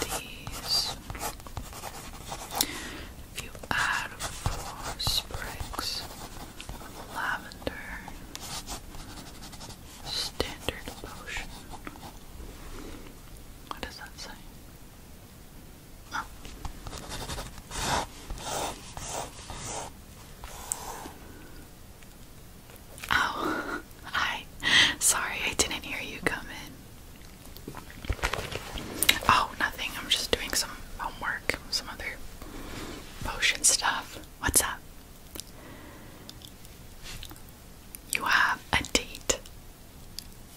these. If sprigs of lavender, standard potion. What does that say? Oh, hi. Sorry, I didn't hear you come in. Oh, nothing. I'm just doing some homework, some other potion stuff. What's up? You have a date.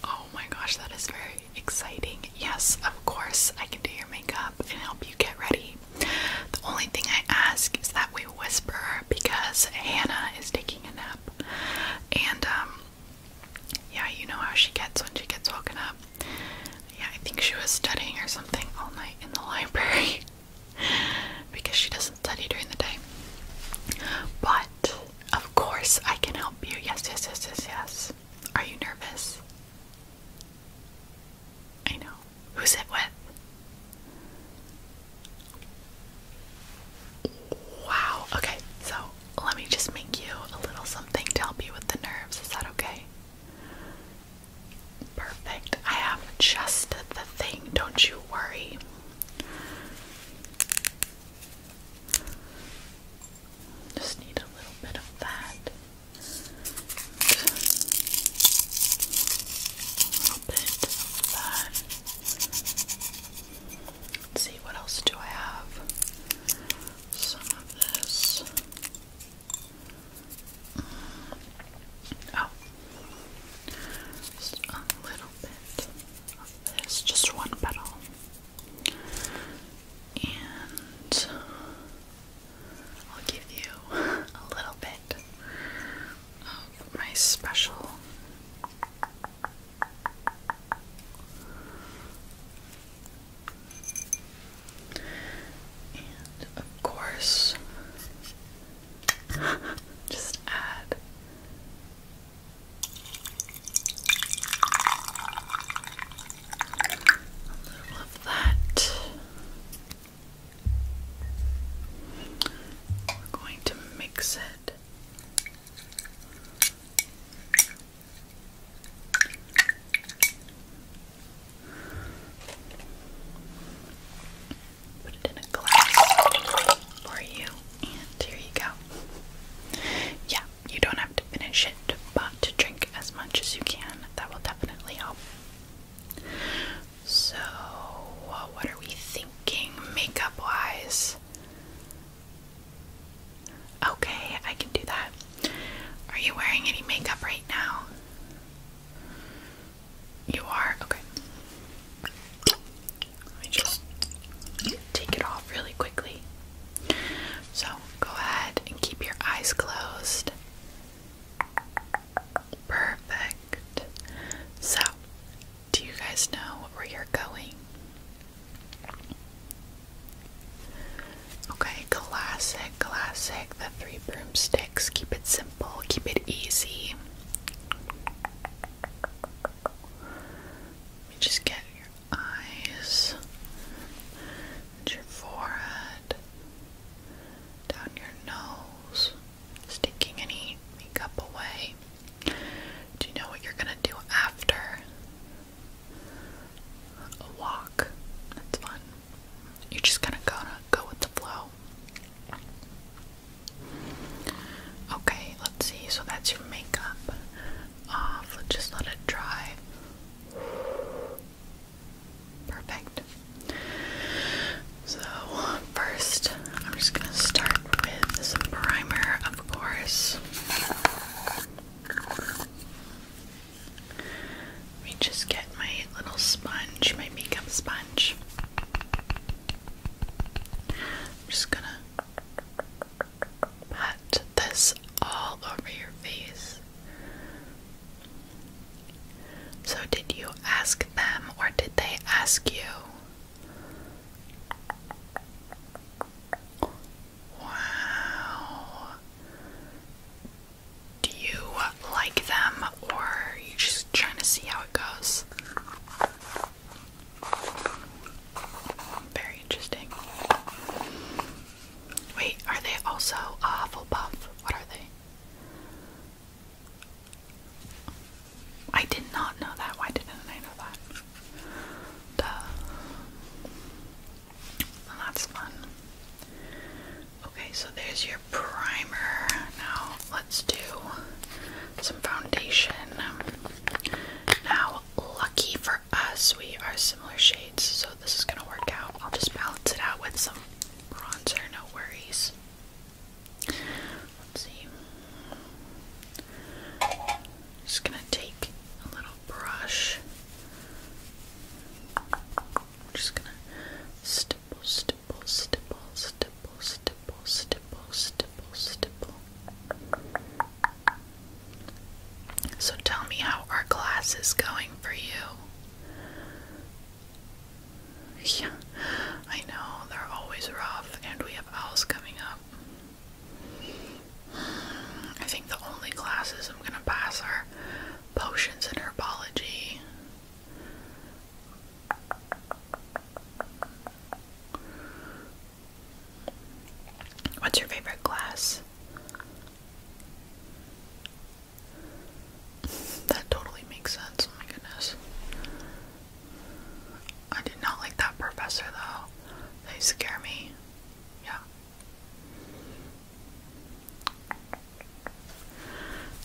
Oh my gosh, that is very exciting. Yes, of course, I can do your makeup and help you get ready. The only thing I ask is that we whisper because Hannah is taking a nap. And, um, yeah, you know how she gets when she gets woken up. Yeah, I think she was studying or something all night in the library because she doesn't study during the day. But, of course, I can help you. Yes, yes, yes, yes, yes. Are you nervous? I know. Who's it with? Wow. Okay, so let me just make you a little something to help you with the nerves. Is that okay? Perfect. I have just the thing. Don't you worry. Just need a little bit of that a little bit of that. Let's see, what else do I have? Some of this. Mm. Oh, just a little bit of this, just one petal. And I'll give you a little bit my special and of course just add a little that we're going to mix it. Put it in a glass for you, and here you go. Yeah, you don't have to finish it, but to drink as much as you can, that will definitely help. So, what are we thinking makeup wise? Okay, I can do that. Are you wearing any makeup right now? You are? Okay. Let me just take it off really quickly. So, go ahead and keep your eyes closed. Perfect. So, do you guys know where you're going? Okay, classic, classic. The three broomsticks. Keep it simple, keep it easy. just get your eyes your forehead, down your nose. Sticking any makeup away. Do you know what you're gonna do after a walk? That's fun. You're just gonna go go with the flow. Okay, let's see. So that's your makeup off. Let's just let it dry. Perfect. So, first, I'm just going to start with some primer, of course. Let me just get my little sponge, my makeup sponge. I'm just gonna pat this all over your face. So, did you ask them or did they ask you? Wow. Do you like them or you just trying to see how it goes? Very interesting. Wait, are they also a uh, Hufflepuff? What are they? I did not know that. Why didn't I know that? Duh. that's fun. Okay, so there's your primer. Now let's do some foundation. Now, lucky for us, we are similar shades, so this is gonna work out. I'll just balance it out with some bronzer, no worries. Let's see. Just gonna take a little brush. just gonna stipple, stipple, stipple, stipple, stipple, stipple, stipple, stipple. So tell me how our class is going for you. Yeah, I know, they're always rough, and we have owls coming up. I think the only classes I'm gonna pass are potions and herbology. What's your favorite class? That totally makes sense. Oh my goodness. I did not like that professor though. They scare me. Yeah.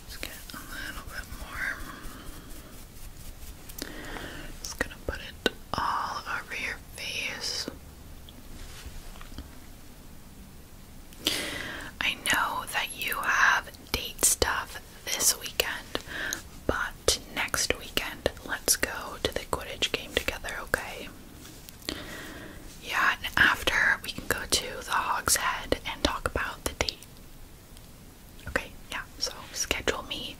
let get a little bit more. Just gonna put it all over your face. I know that you have date stuff this weekend, but next weekend let's go to the Quidditch game together, okay? Yeah, and after we can go to the Hog's Head and talk about the date. Okay, yeah, so schedule me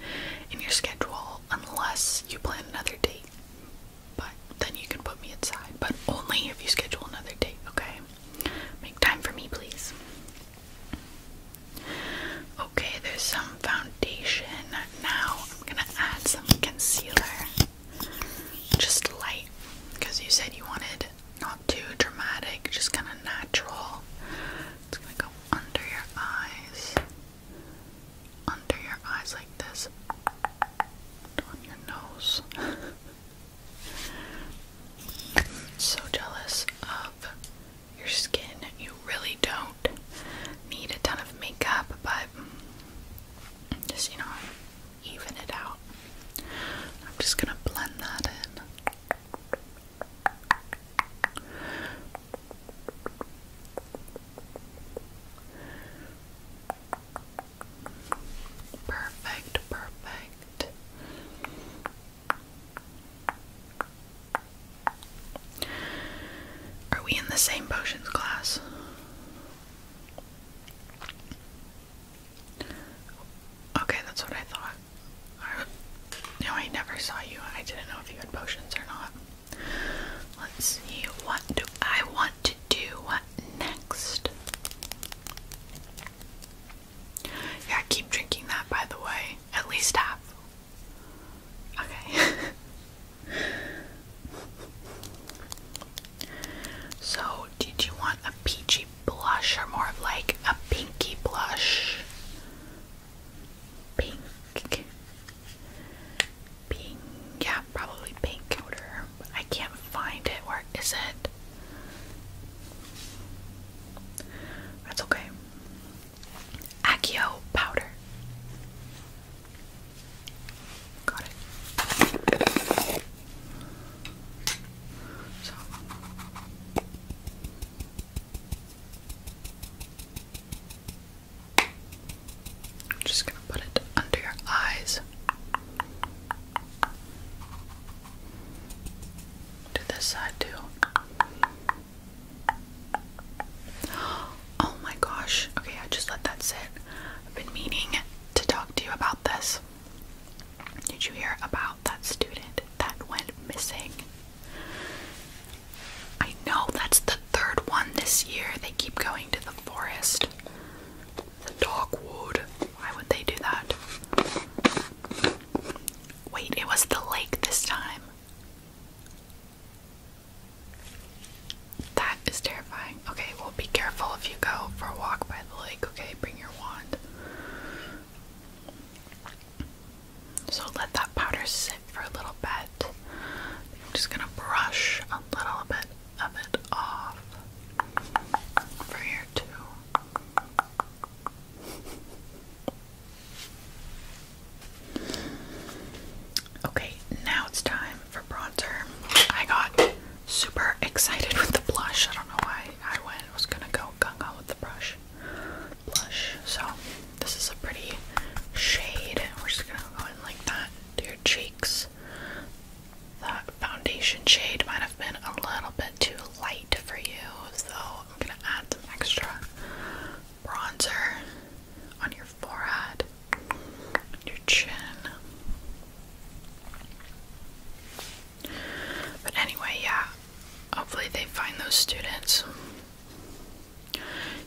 in your schedule unless you plan another date. But then you can put me inside, but only if you schedule another date, okay? Make time for me, please. Okay, there's some foundation. Now I'm gonna add some concealer. Just light, because you said you wanted not too dramatic, just kind of natural. It's gonna go under your eyes, under your eyes like this, on your nose. So jealous of your skin. You really don't need a ton of makeup, but just, you know, even it out. I'm just gonna blend that in. Perfect, perfect. Are we in the same potions class? Okay, that's what I thought. no, I never saw you. I didn't know if you had potions or not. Let's see. What I want to do next? Yeah, keep drinking that by the way. At least half. Okay. so, did you want a peachy blush or more of like a pinky blush? Pink. Pink. Yeah, probably pink I can't find it. Where is it? That's okay. Accio powder. Got it. So. I'm just going to put it under your eyes. To this side, too. Oh my gosh. Okay, I just let that sit. I've been meaning to talk to you about this. Did you hear about that student that went missing? I know that's the third one this year. They keep going to the forest. The dogwood. Why would they do that? Wait, it was the lake this time. That is terrifying. Okay, well, be careful if you go for a walk by the lake, okay? Bring your wand. So let that powder sit for a little bit. I'm just gonna brush a little bit of it off for here, too. Okay, now it's time for bronzer. I got super excited with the blush. I don't know why I went. I was gonna go gung ho with the brush blush. So this is a pretty shade. We're just gonna go in like that to your cheeks. That foundation shade might have been a little bit too light for you, so I'm gonna add some extra bronzer on your forehead, your chin. But anyway, yeah, hopefully they find those students. You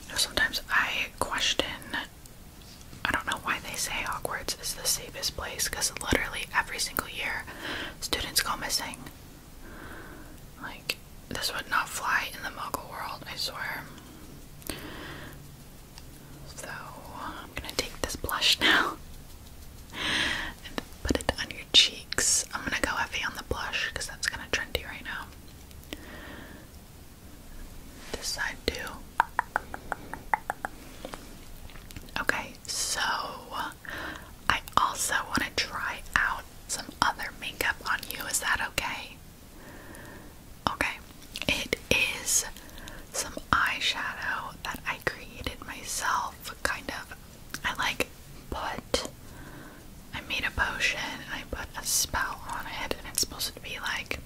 know, sometimes I question, I don't know why they say Hogwarts is the safest place because literally every single year students go missing. Like, this would not fly in the muggle world, I swear. So, I'm gonna take this blush now and put it on your cheeks. I'm gonna go heavy on the blush because that's kind of trendy right now. This side, too. Okay, so I also want to try out some other makeup on you. Is that okay? Okay. It is some eyeshadow that I created myself, kind of. I like put I made a potion I put a spell on it and it's supposed to be like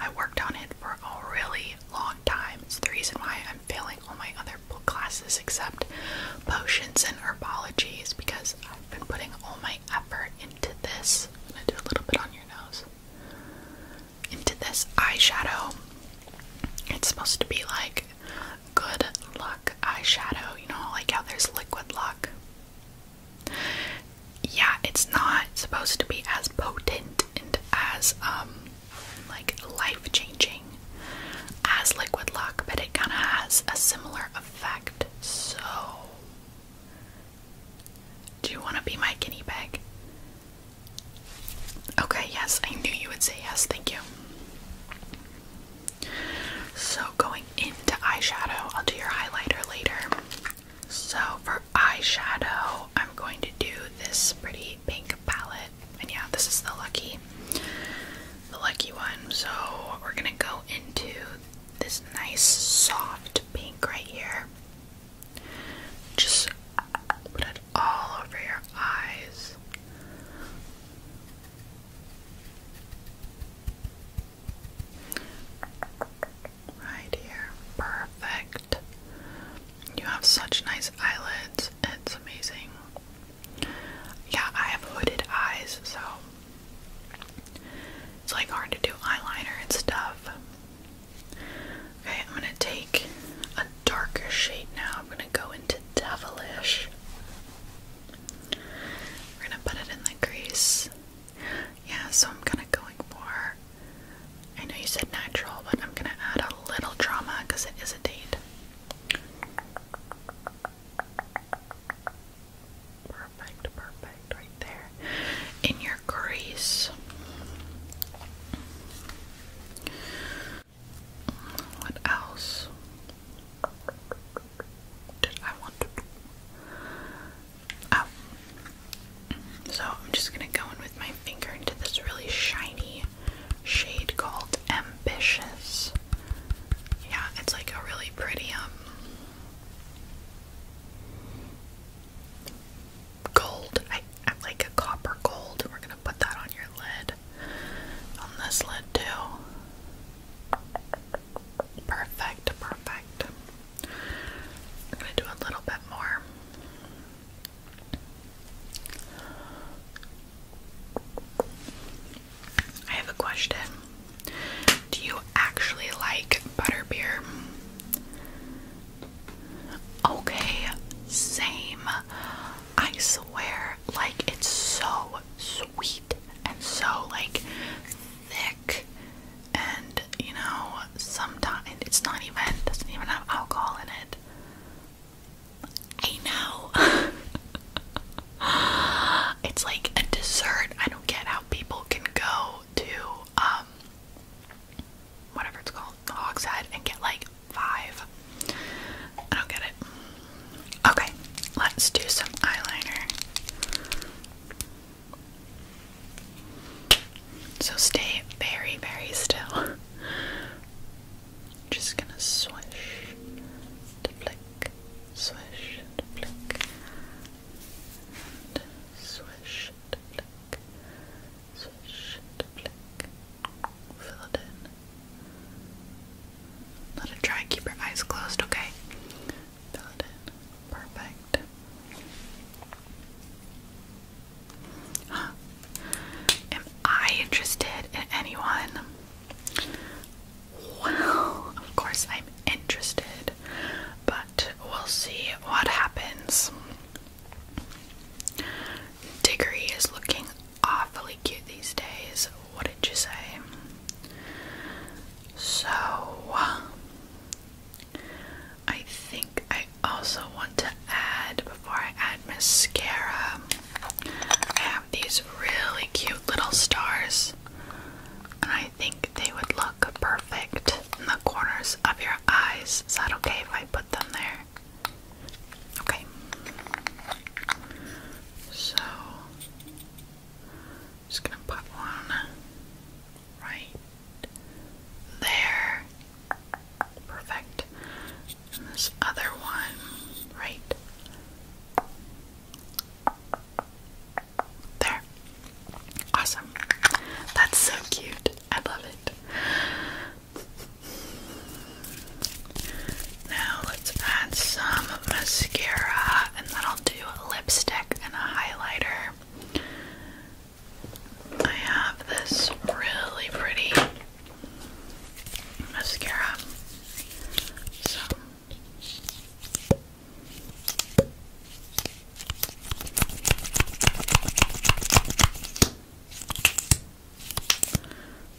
I worked on it for a really long time. It's the reason why I'm feeling all my other book classes except potions and herbology is because I've been putting all my effort into this. I'm gonna do a little bit on your nose. Into this eyeshadow. It's supposed to be like good luck eyeshadow, you know, like how there's liquid luck. Yeah, it's not supposed to be as potent and as um like life-changing as liquid luck, but it kind of has a similar effect. So, do you want to be my guinea pig? Okay, yes, I knew you would say yes, thank you. So, going into eyeshadow, I'll do your highlighter later. So, for eyeshadow, I'm going to do this pretty pink palette. And yeah, this is the lucky the lucky one. So we're gonna go into this nice soft pink right here. Just put it all over your eyes. Right here. Perfect. You have such nice eyelids. It's amazing. Yeah, I have hooded eyes, so it's like hard to do eyeliner and stuff. Okay, I'm gonna take a darker shade now. I'm gonna go into Devilish. We're gonna put it in the crease. Yeah, so I'm kind of going for. I know you said natural, but I'm gonna add a little drama because it is a date. Perfect, perfect, right there in your crease. What else did I want to do? Oh, so I'm just gonna go in with my finger into this really shiny shade called ambitious. Yeah, it's like a really pretty um gold. I, like a copper gold. We're gonna put that on your lid. On this lid too. Perfect, perfect. I'm gonna do a little bit more. I have a question. Do you actually like butterbeer? Okay, same. I swear, like, it's so sweet and so, like, thick. And, you know, sometimes it's not even, doesn't even have alcohol in it. I know. it's like a dessert. I don't get how people can go to um whatever it's called, the Hog's Head, and get like five. I don't get it. Okay, let's do some eyeliner. So stay very, very still. Just gonna swish to flick, swish to flick, and swish to flick, swish to flick. Fill it in. Let it dry. Keep your eyes closed, okay? Fill it in. Perfect. Am I interested in anyone? Well, of course, I'm interested, but we'll see what happens. Diggory is looking awfully cute these days. What did you say? So, I think I also want to add, before I add mascara, I have these really cute little stars, and I think they would look perfect in the corners of your eyes. Is that okay if I put them there? Okay. So, just gonna put one right there. Perfect. And this other one right there. Awesome. That's so cute. I love it. Now let's add some mascara and then I'll do a lipstick and a highlighter. I have this really pretty mascara. So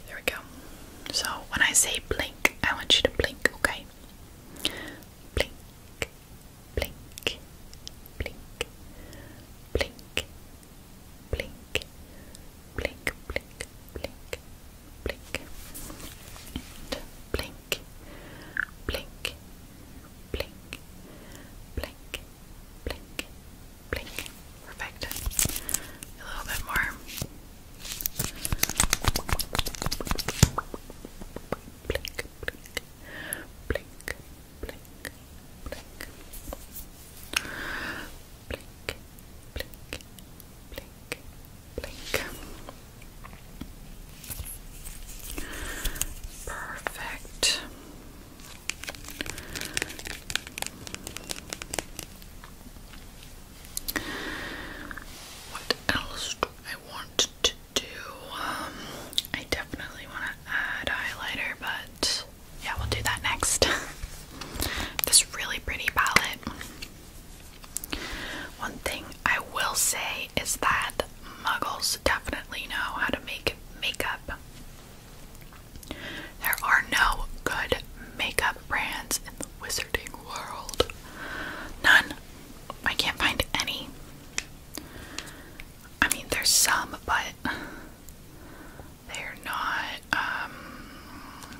there we go. So when I say blink, I want you to blink, okay? Blink, blink, blink, blink, blink, blink, blink, blink, blink, and blink, blink, blink, blink, blink, blink. Perfect. A little bit more. Blink, blink, blink, blink, blink blink, blink, blink, blink. Perfect. What else do I want to do? Um, I definitely want to add highlighter, but yeah, we'll do that next. this really pretty palette. One thing I will say is that muggles definitely know how to make makeup. There are no good makeup brands in the wizarding world. None. I can't find any. I mean, there's some, but they're not um,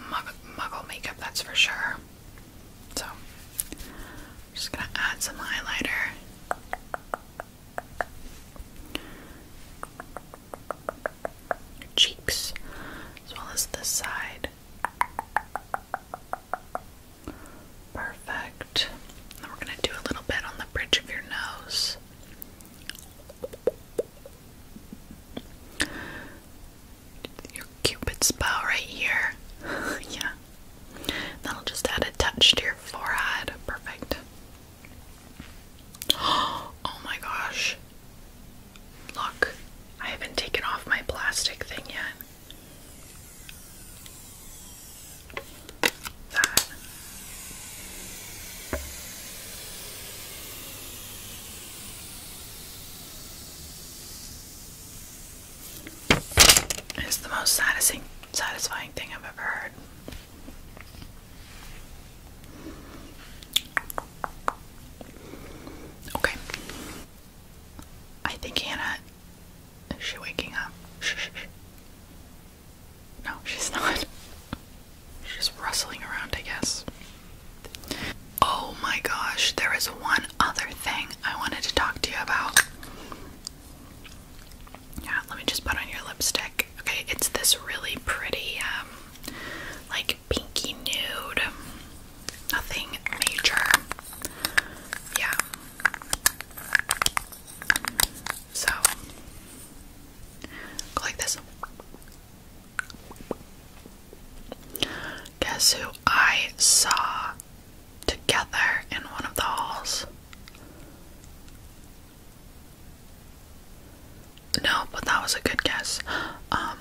muggle, makeup, that's for sure. So, just gonna add some highlighter. cheeks, as well as this side. Perfect. Then we're gonna do a little bit on the bridge of your nose your cupid's bow right here. yeah. That'll just add a touch to your forehead. Perfect. Oh my gosh. Look, I haven't taken off my plastic thing yet. That. It's the most satisfying satisfying thing I've ever heard. Okay. I think Hannah is she waking up? No, she's not. She's just rustling around, I guess. Oh my gosh, there is one other thing I wanted to talk to you about. Yeah, let me just put on your lipstick. Okay, it's this really pretty, um, like pinky nude. Nothing major. Yeah. So, go like this. Guess who I saw together in one of the halls? No, but that was a good guess. Um,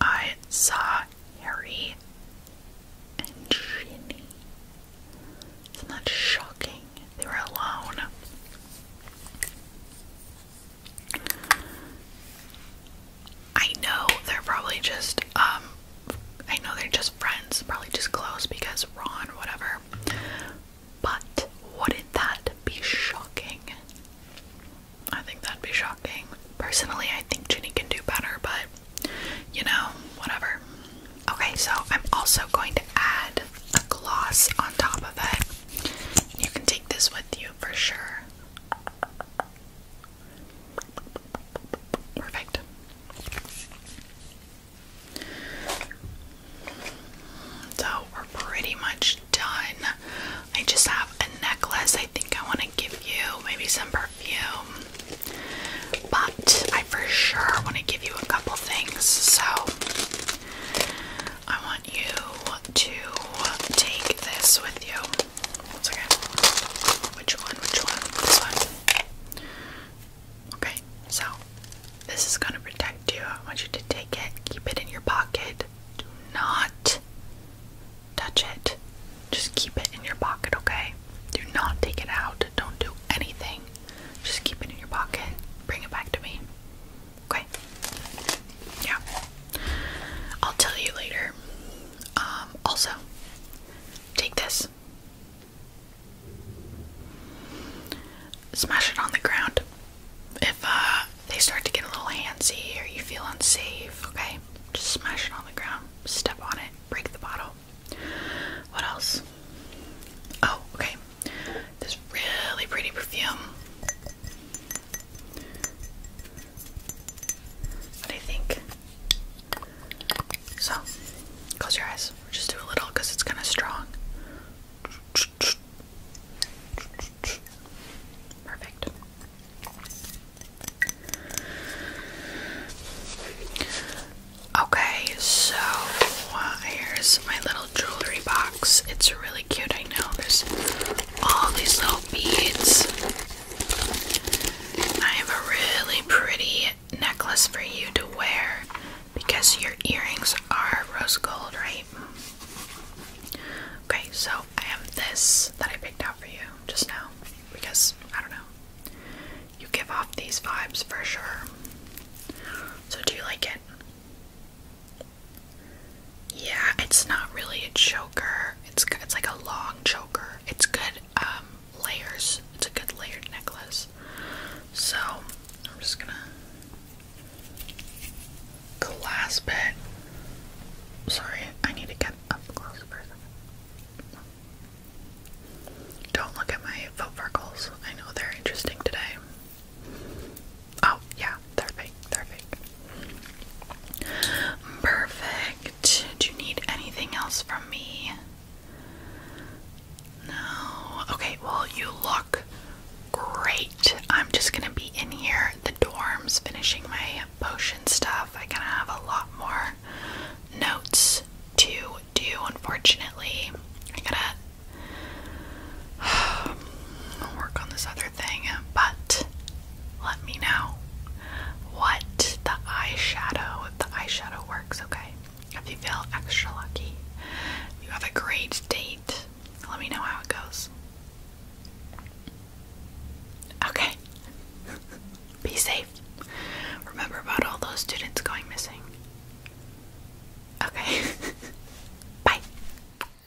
I saw Harry and Ginny. Isn't that shocking? They were alone. I know they're probably just, um, I know they're just friends, probably just close because Ron, whatever. But wouldn't that be shocking? I think that'd be shocking. Personally, I think Ginny can do better, but you know, whatever. Okay, so I'm also going to add a gloss on top of it. You can take this with you for sure. Perfect. So we're pretty much done. I just have a necklace I think I want to give you, maybe some perfume. But I for sure want to give you a couple things. So I want you to take this with you. Once Which one? Which one? This one. Okay, so this is going to protect you. I want you to take it, keep it in your pocket. Do not touch it. Just keep it in your pocket, okay? Do not take it out. Don't do anything. Just keep it in your pocket. Bring it back to me. Okay. Yeah. I'll tell you later. Um, also, take this. Smash it on the ground. If uh, they start to get a little handsy or you feel unsafe, okay? Just smash it on the ground. Step on it. Break the bottle. What else? Oh, okay. This really pretty perfume. What do you think? So, close your eyes. just do a little because it's kind of strong. Perfect. Okay, so here's my little jewelry box. It's really cute. I know there's all these little beads. I have a really pretty necklace for you to wear because your earrings are rose gold, right? Okay, so I have this that I picked out for you just now because I don't know. You give off these vibes for sure. So, do you like it? Yeah, it's not really a choker. It's it's like a long choker. It's good um, layers. It's a good layered necklace. So, I'm just going to clasp it. Sorry, I need to get up close do Don't look at my foot freckles. I know they're interesting today. Oh, yeah, they're Perfect. Do you need anything else from me? No. Okay, well, you look great. I'm just gonna be in here the dorms finishing my potion stuff. I kind of have a lot more notes to do, unfortunately. I gotta work on this other thing, but let me know what the eyeshadow, if the eyeshadow works, okay? If you feel extra lucky, you have a great date, let me know how it goes. Okay. Be safe. Remember about all those students going missing. Okay. Bye.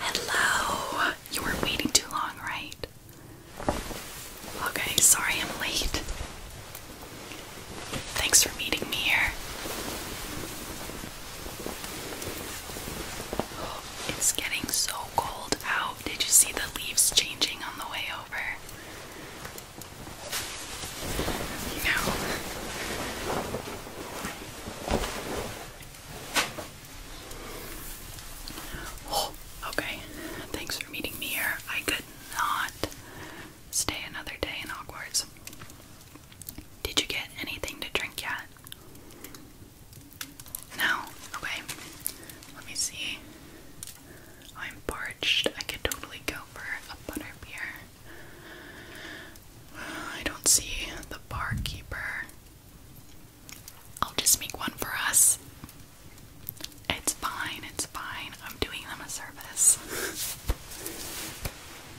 Hello! You were waiting too long, right? Okay, sorry I'm late. Thanks for meeting me here. it's getting so cold out. Did you see the leaves changing on the way over? No. Oh, okay. Thanks for meeting me here. I could not stay another day in Hogwarts. Did you get anything to drink yet? No? Okay. Let me see. I'm parched. I could totally go for a butter beer. I don't see the barkeeper. I'll just make one for us. It's fine, it's fine. I'm doing them a service.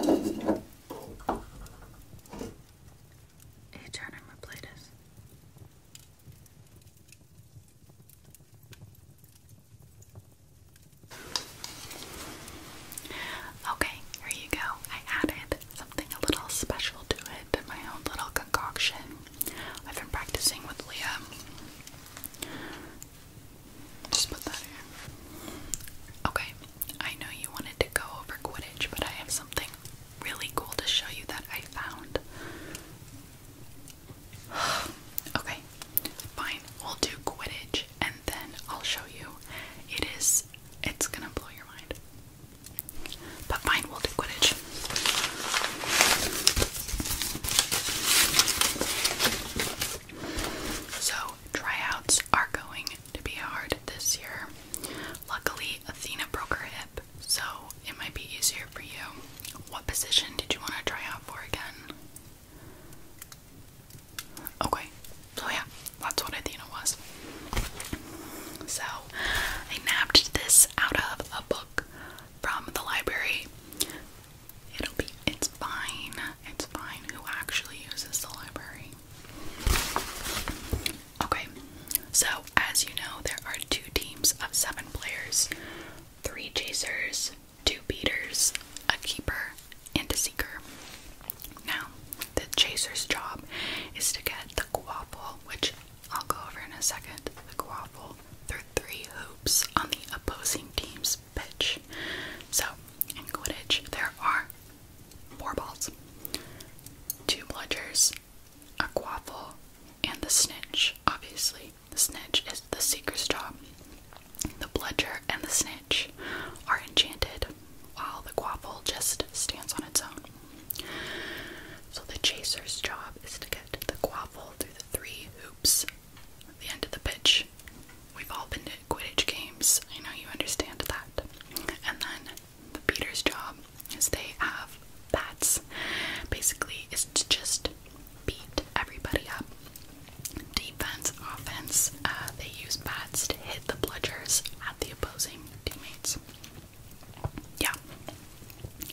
Hey, Okay, here you go. I added something a little special to it, my own little concoction. I've been practicing with Leah. Just put that here. Okay, I know you wanted to go over Quidditch, but I have something really cool to show you that I found. okay, fine. We'll do Quidditch and then I'll show you. It is, it's gonna blow your mind. But fine, we'll do Quidditch. So, tryouts are going to be hard this year. Luckily, Athena broke her hip, so it might be easier for you. What position did you want to try out for again? Okay, so yeah, that's what Athena was. So, I nabbed this out of a book from the library. It'll be, it's fine. It's fine who actually uses the library. Okay, so as you know, there are two teams of seven players three chasers, two beaters, a keeper, and a seeker. Now, the chaser's job is to get the guapple, which I'll go over in a second. The guaffle ball through three hoops on the opposing team's pitch. So, in Quidditch, there are four balls, two bludgers, a quaffle, and the snitch, obviously. The snitch is the seeker's job. The bludger and the snitch are enchanted, while the quaffle just stands on its own. So the chaser's job is to get the quaffle through the three hoops the end of the pitch. We've all been to Quidditch games. I know you understand that. And then the Peter's job is they have bats. Basically, is to just beat everybody up. Defense, offense. Uh, they use bats to hit the bludgers at the opposing teammates. Yeah.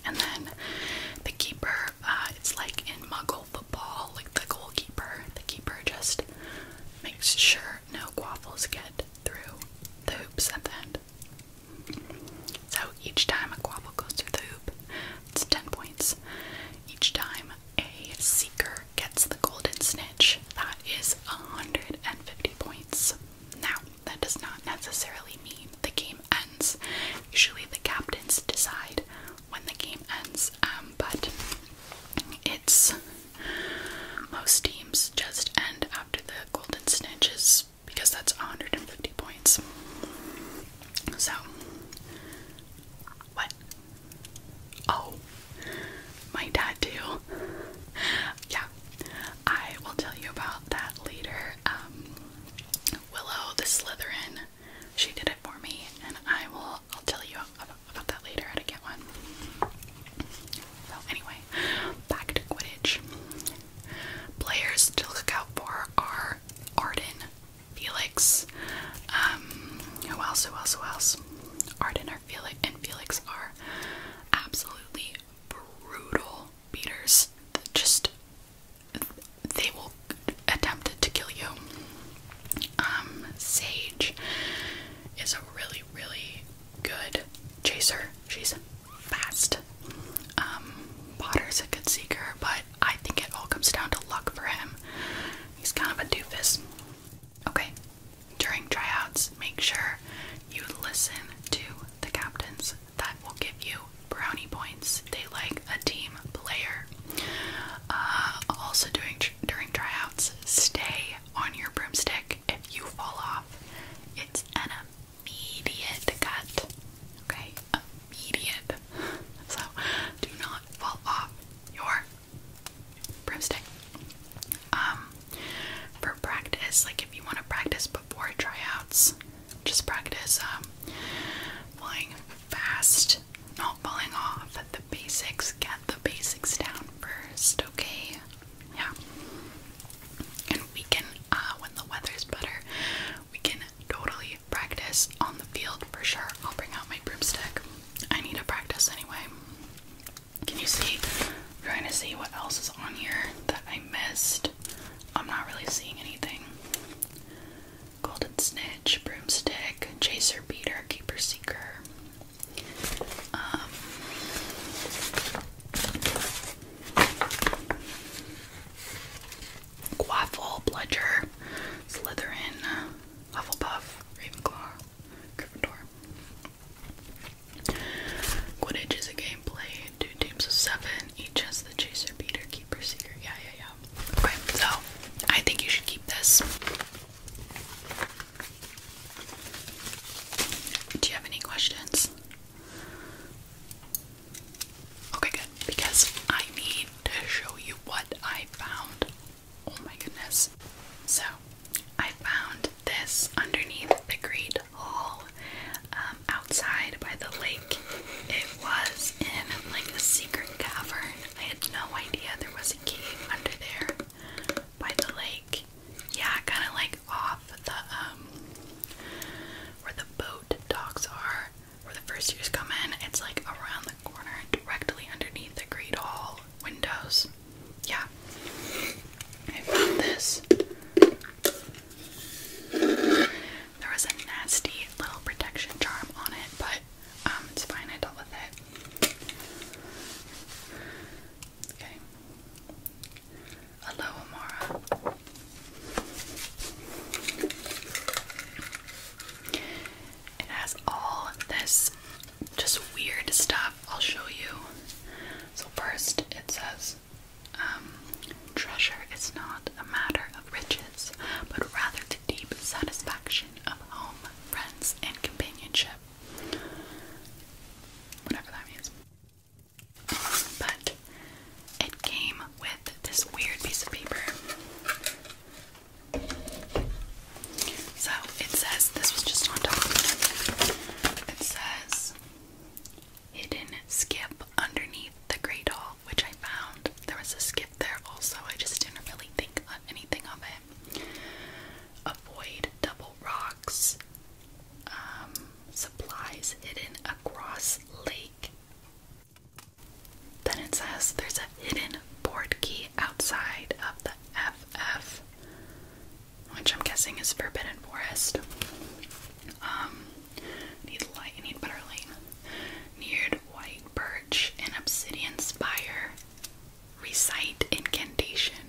And then the keeper. Uh, it's like in Muggle tackle the like the goalkeeper. The keeper just makes sure no quaffles get through the hoops at the end. So each time a quaffle goes through the hoop, it's 10 points. Each time a seeker gets the golden snitch, that is 150 points. Now, that does not necessarily mean the game ends. Usually the captains decide when the game ends. Um, but it's most teams just end after the golden snitches because that's 150 points. So what? Oh, my tattoo. yeah, I will tell you about that later. Um, Willow the Slytherin she did it for me, and I will. I'll tell you about, that later how to get one. So anyway, back to Quidditch. Players to look out for are Arden, Felix. Um, who else? Who else? Who else? Arden or Felix and Felix are absolutely brutal beaters. Just they will attempt to kill you. Um, Sage is a really, really good chaser. She's fast. Um, Potter's a good seeker, but I think it all comes down to luck for him. He's kind of a doofus. Okay, during tryouts, make sure you listen to the captains. That will give you brownie points. They like a team player. Uh, also, doing during tryouts, stay on your broomstick. If you fall off, it's an immediate cut. Okay, immediate. So, do not fall off your broomstick. Um, for practice, like if you want to practice before tryouts, just practice um flying fast not falling off the basics. Get the basics down first, okay? Yeah. And we can, uh, when the weather's better, we can totally practice on the field for sure. I'll bring out my broomstick. I need to practice anyway. Can you see? trying to see what else is on here that I missed. I'm not really seeing anything golden snitch, broomstick, chaser, beater, keeper, seeker. Um, Quaffle, Bludger, Slytherin, Hufflepuff, Ravenclaw, Gryffindor. Quidditch is a game played two teams of seven. Each has the chaser, beater, keeper, seeker. Yeah, yeah, Okay, so I think you should keep this. Do you have any questions? Okay, good. Because I need to show you what I found. Oh my goodness. So, I found this underneath the Great Hall um, outside by the lake. It was in like a secret cavern I had no idea there was a cave under there by the lake. Yeah, kind of like off the, um, where the boat docks are, where the first years come in. It's like around the corner, directly underneath the Great Hall windows. Yeah. I found this. There was a nasty little protection charm on it, but um, it's fine, I dealt with it. Okay. Hello, Amara. It has all this just weird stuff. I'll show you. So, first, it says um, treasure is not a matter of riches, but rather deep satisfaction of home, friends, and companionship. Whatever that means. But it came with this weird piece of paper. So it says, this was just on top. It says, hidden skip underneath the great hall, which I found. There was a skip there also. I just didn't really think of anything of it. Avoid double rocks. Um, supplies hidden across lake. Then it says there's a hidden board key outside of the FF, which I'm guessing is Forbidden Forest. Um, need light, need better neared white birch and obsidian spire. Recite incantation.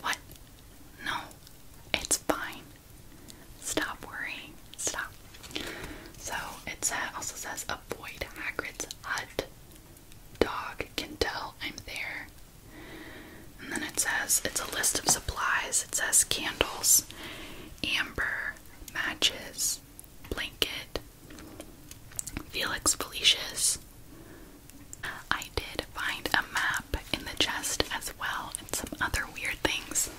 What? No, it's fine. Stop worrying. Stop. So it also says avoid Hagrid's hut. Dog can tell I'm there. And then it says it's a list of supplies. It says candles, amber, Matches, Blanket, Felix Felicia's. I did find a map in the chest as well, and some other weird things.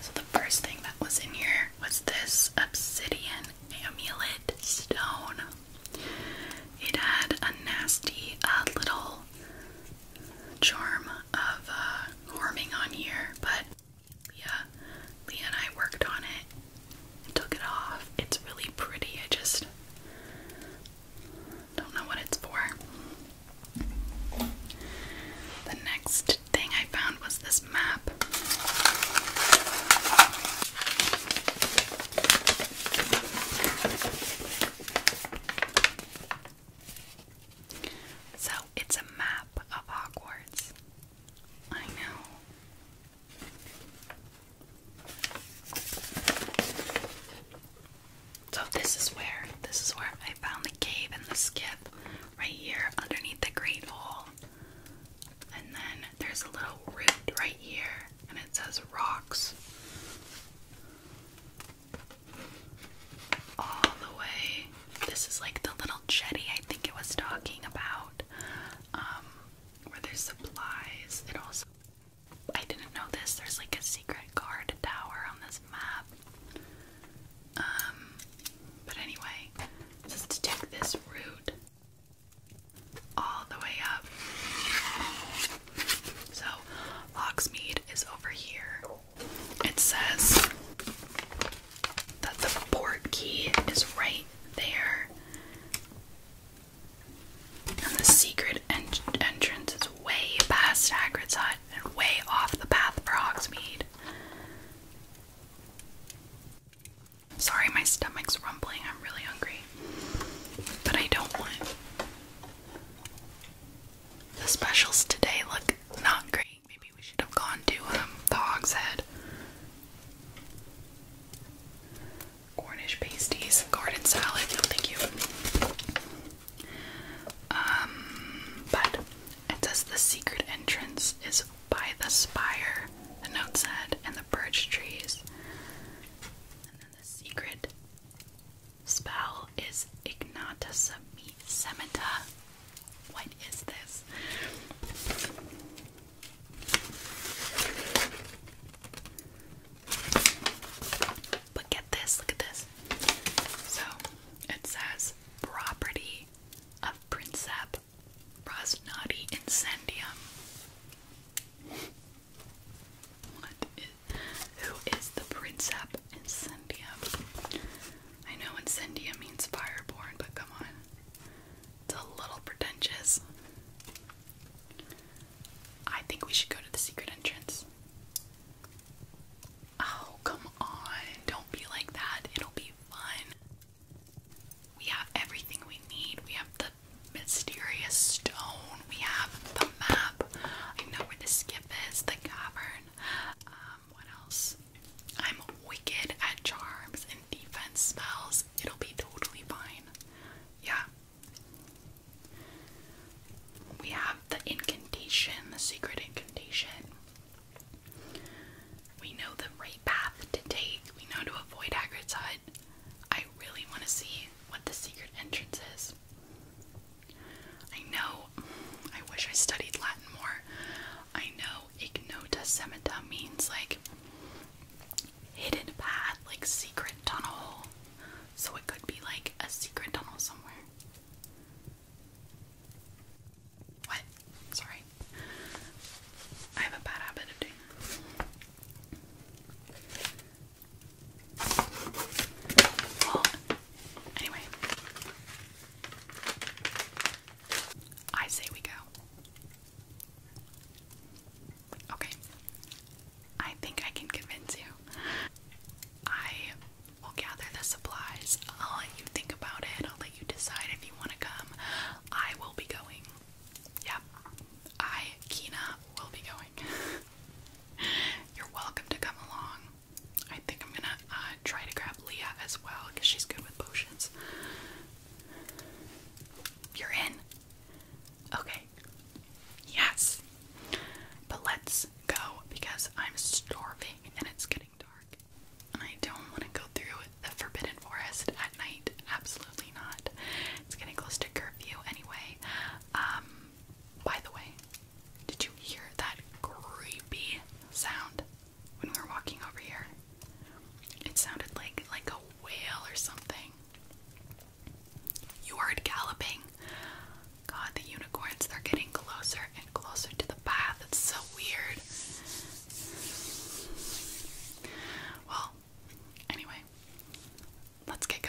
So, the first thing that was in here was this obsidian amulet stone. It had a nasty uh, little charm of uh, warming on here, but yeah, Leah and I worked on it took it off. It's really pretty. I just don't know what it's for. The next thing I found was this map. So it's a map of Hogwarts. I know. So this is where this is where I found the cave and the skip right here underneath the great hole. And then there's a little root right here and it says rocks all the way. This is like the little jetty I think it was talking about, um, where there's supplies. It also, I didn't know this, there's like a secret guard tower on this map. Um, but anyway, just to take this route all the way up. So, Hogsmeade is over here. It says that the port key is right there, and the secret entrance is way past Hagrid's hut and way off the path for Hogsmeade. Sorry, my stomach's rumbling. I'm really hungry. But I don't want. The specials today look not great. Maybe we should have gone to um, the Hog's Head. Cornish pasties, garden salad, no thank you. Um, but it says the secret entrance is by the spire, the note said, and the birch trees the secret spell is Ignata Semita. What is this? But get this, look at this. So it says property of Princep Rosnati Incendium who is the Princep Incendium? I know Incendium means fireborn, but come on. It's a little pretentious. I think we should go to the secret entrance. Oh, come on. Don't be like that. It'll be fun. We have everything we need. We have the mysterious stone. We have the map. I know where the skip is, the cavern. Um, what else? I'm wicked at charms and defense spells. It'll be totally fine. Yeah. We have the incantation, the secret incantation. We know the right path to take. We know to avoid Hagrid's hut. I really want to see what the secret entrance is? I know, I wish I studied Latin more. I know ignota semita means like hidden path, like secret tunnel. So it could be like a secret tunnel somewhere. What? Sorry. I have a bad habit of doing anyway, I say we go. Okay, I think I can convince you. I will gather the supplies. I'll let you think about it. I'll let you decide if you want to come. I will be going. Yep, I, Kina, will be going. You're welcome to come along. I think I'm gonna uh, try to grab Leah as well because she's good with potions. You're in. Okay. Yes. But let's go because I'm starving and it's getting dark. And I don't want to go through the Forbidden Forest at night. Absolutely not. It's getting close to curfew anyway. Um, by the way, did you hear that creepy sound when we were walking over here? It sounded like like a whale or something. You heard galloping. God, the unicorns, they're getting closer and closer to the path. It's so weird. Well, anyway, let's get going.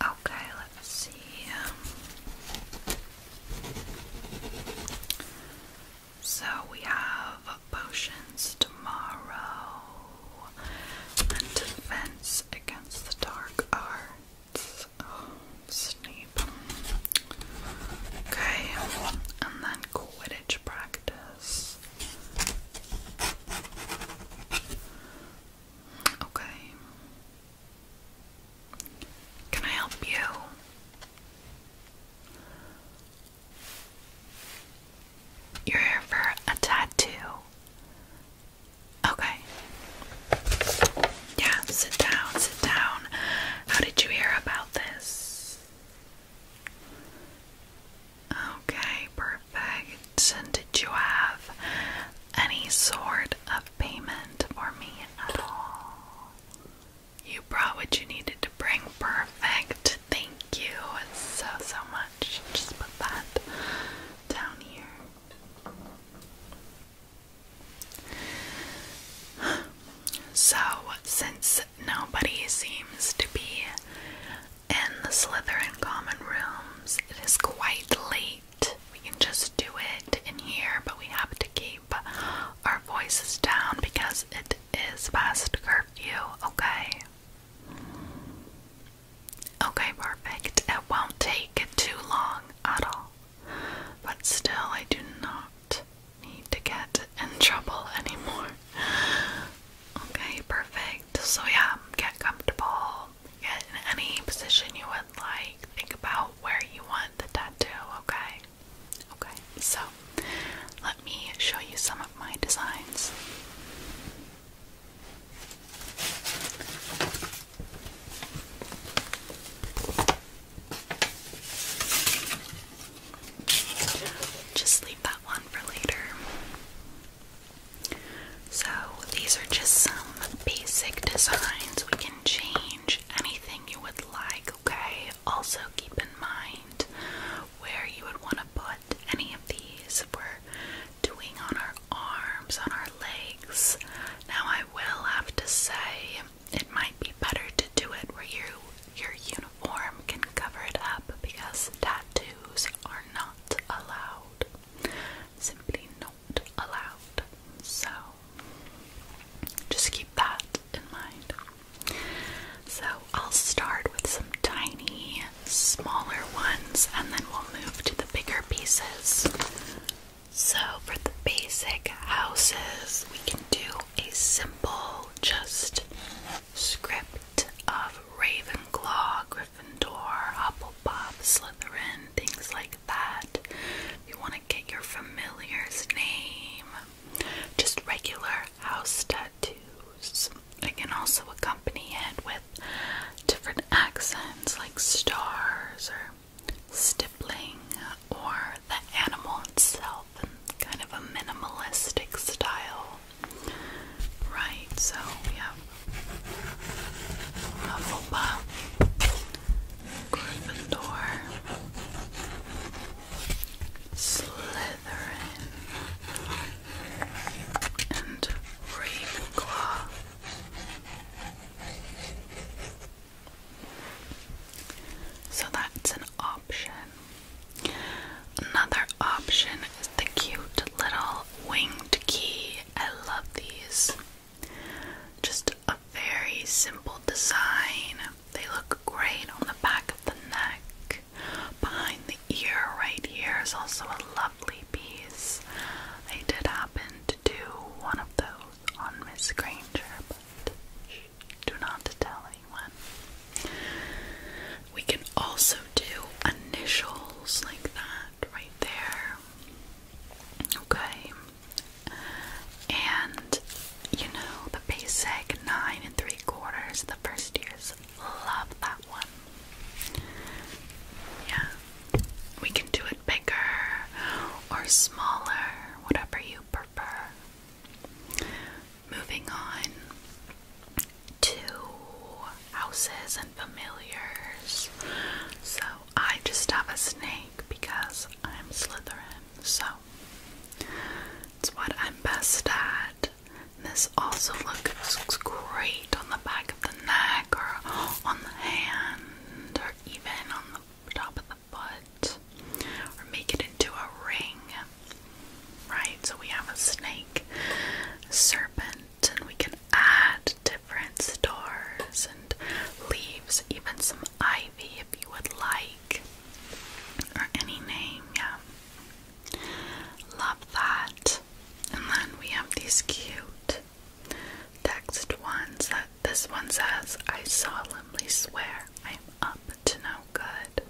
Okay, let's see. Um, so we have potions tomorrow and defense against the dark arts. Oh, Snape. Okay, and then Quidditch practice. Okay. Can I help you? You're here for a tattoo. Okay. Yeah, sit down, sit down. How did you hear about this? Okay, perfect. And did you have any sort of payment for me at all? You brought what you needed to bring. Perfect. Thank you so, so much. Just put that down here. So, since nobody seems to be in the Slytherin common rooms. It is quite late. We can just do it in here, but we have to keep our voices down because it is past curfew, okay? Okay, perfect. It won't take too long at all. But still, I do not need to get in trouble anymore. Okay, perfect. So, yeah, get comfortable. Get in any position you would like. Think about where you want the tattoo, okay? Okay, so let me show you some of my designs. Just leave that one for later. So these are just some basic designs. We can change anything you would like, okay? Also keep in mind where you would want to put any of these. We're doing on our arms, on our legs. Now I will have to say it might be better to do it where you your uniform can cover it up because tattoos are not allowed. Simply not allowed. So just keep that in mind. So I'll start with some tiny, smaller ones and then we'll move to the bigger pieces. So for the basic houses, we can do a simple, just script of Ravenclaw, Gryffindor, Hufflepuff, Slytherin, things like that. If you want to get your familiar's name, just regular house tattoos. I can also accompany it with different accents like stars or stippling or the animal itself in kind of a minimalistic style. Right, so we have Hufflepuff, Gryffindor, Slytherin, and Ravenclaw. So that's an option. Another option is the cute little winged key. I love these. Just a very simple design. They look great on the back of the neck. Behind the ear, right here, is also a lovely piece. I did happen to do one of those on Miss Granger, but do not tell anyone. We can also do initials like that right there. Okay. And you know, the basic nine and three quarters, the first years love that one. Yeah. We can do it bigger or smaller, whatever you prefer. Moving on, Two houses and familiars. So I just have a snake because I'm Slytherin. So it's what I'm best at. This also looks great on the back of the neck or on the hand or even on the top of the foot or make it into a ring. Right, so we have a snake, serpent, and we can add different stars and leaves, even some ivy if you would like, or any name, yeah. Love that. And then we have these cute text ones that this one says, I solemnly swear I am up to no good.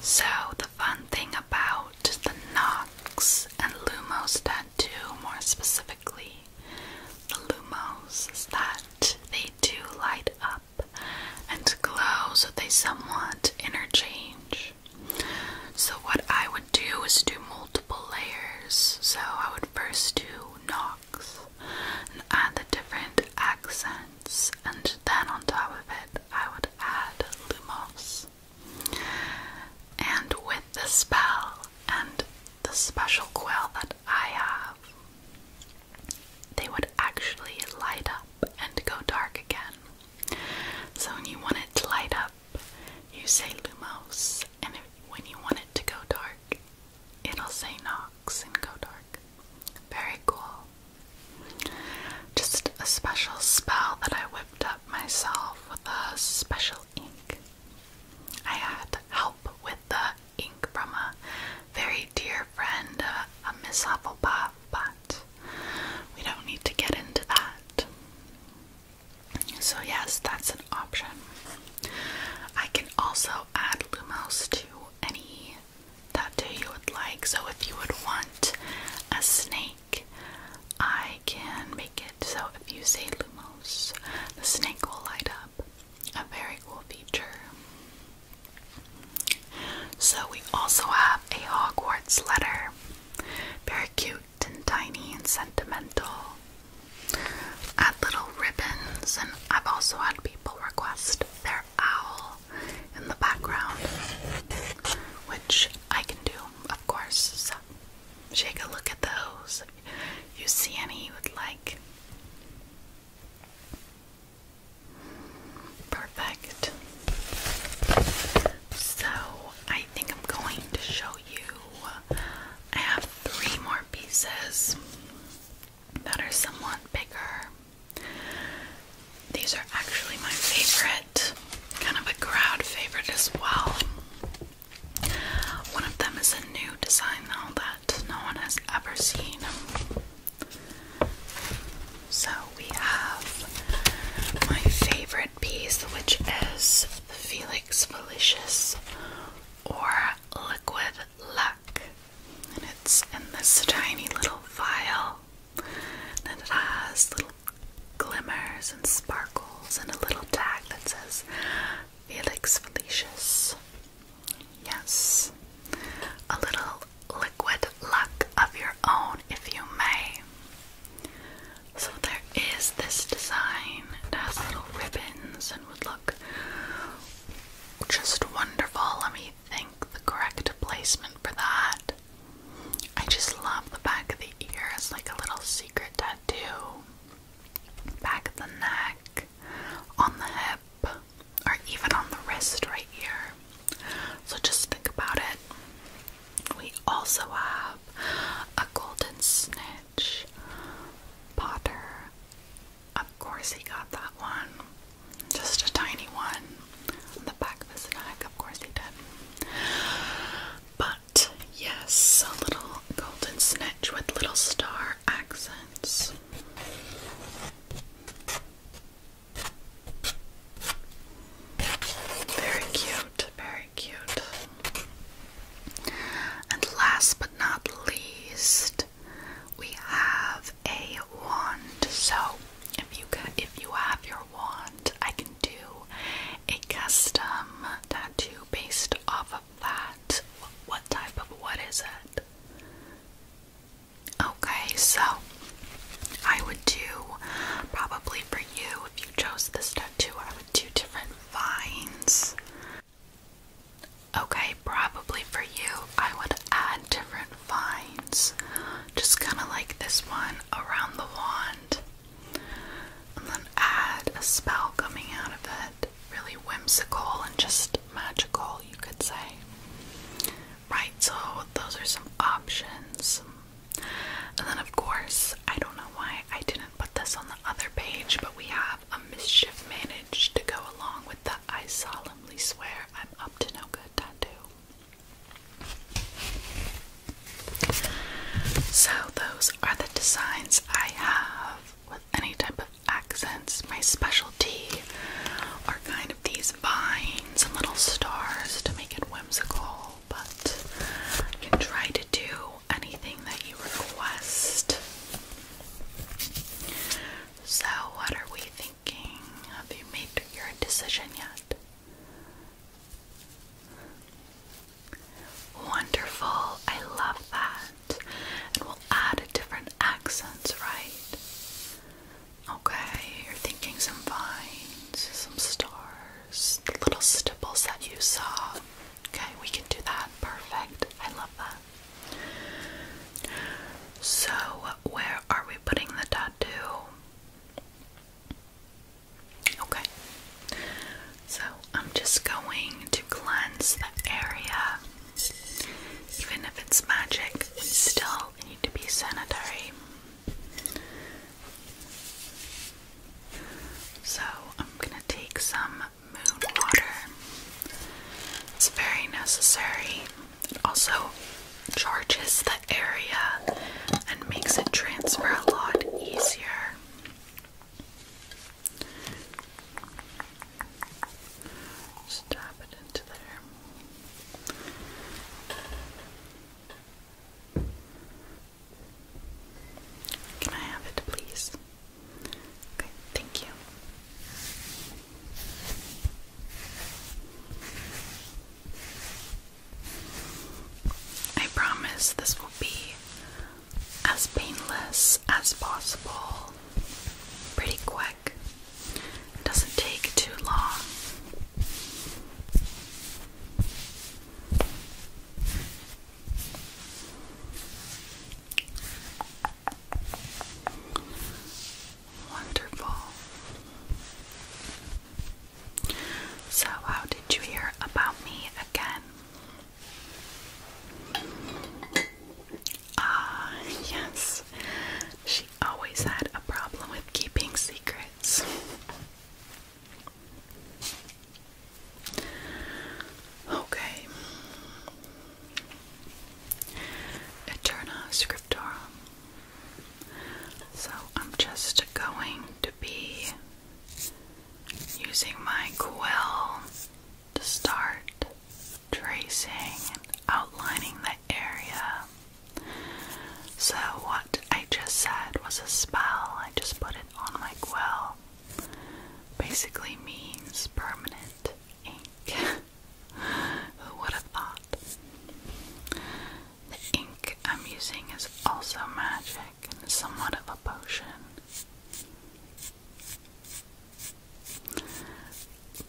So, the fun thing about the Knox and Lumos tattoo, more specifically, the Lumos, is that they do light up and glow, so they somewhat interchange. So, what I would do is do multiple layers. So, I would first do Knox and add the different accents and then on top of it, I would add Lumos. And with the spell and the special quill that I have, they would actually light up and go dark again. So when you want it to light up, you say Lumos, and when you want it to go dark, it'll say Nox and go dark. Very cool. Just a special spell that I whipped up myself with a special ink. I had help with the ink from a very dear friend, uh, a, a bat. but we don't need to get into that. So, yes, that's an option. I can also add Lumos to any tattoo you would like. So, if you would want a snake I can make it so if you say Lumos, the snake will light up. A very cool feature. So we also have a Hogwarts letter. Very cute and tiny and sentimental. Add little ribbons, and I've also had people request their owl in the background, which I can do, of course. So, shake a look at those. you see any you would like. Perfect. So, I think I'm going to show you. I have three more pieces that are somewhat bigger. These are actually my favorite, kind of a crowd favorite as well. One of them is a new design now that no one has ever seen. So we have my favorite piece, which is the Felix Felicious or Liquid Luck. And it's in this tiny little vial. And it has little glimmers and sparkles and a little tag that says Felix Felicius. Yes. A little liquid luck of your own, if you may. So there is this design. It has little ribbons and would look just wonderful. Let me think the correct placement for that. I just love the back of the ear It's like a little secret tattoo. Back of the neck, on the hip, or even on the wrist right here. So just think about it. We also have a golden snitch, Potter. Of course, he got that one. Just a tiny one on the back of his neck, of course he did. But yes, a little golden snitch with little star accents. Very cute, very cute. And last but not least, we have a wand. So if you if you have your wand, I can do a custom tattoo based off of that. What type of what is it? Okay, so I would do probably for you if you chose this tattoo, I would do different vines. Okay, probably for you, I would add different vines. Just kind of like this one around the wand and then add a spell coming out of it. Really whimsical and just magical, you could say. Right, so those are some options. And then, of course, I don't know why I didn't put this on the other page, but we have a mischief managed to go along with the I solemnly swear I'm up to no good tattoo. So, those are the designs I have with any type of accents. My specialty are kind of these vines and little stars to make it whimsical, but I can try to do anything that you request. So, what are we thinking? Have you made your decision yet? Wonderful, I love that. And we'll add different accents, right? Okay, you're thinking some vines, some stars, little stipples that you saw. Okay, we can do that. Perfect. I love that. So, where are we putting the tattoo? Okay, so I'm just going to cleanse the area. Even if it's magic, we still need to be sanitary. So I'm gonna take some moon water. It's very necessary. It also charges the area and makes it transfer a lot easier. Just tap it into there. Can I have it, please? Okay, thank you. I promise this will be as painless as possible, pretty quick. doesn't take too long. Wonderful. So, how did you hear about me again? Ah, yes. She always had a problem with keeping secrets. Okay. Eterna Scriptorum. So I'm just going to be using my quill to start tracing outlining the area. So, what I just said was a spell, I just put it on my quill. Basically, means permanent ink. Who would have thought? The ink I'm using is also magic and is somewhat of a potion.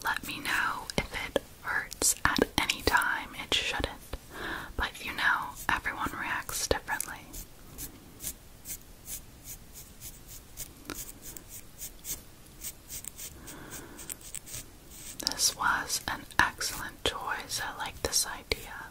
Let me know if it hurts at any time. It shouldn't. But you know, everyone reacts differently. This was an excellent choice. I like this idea.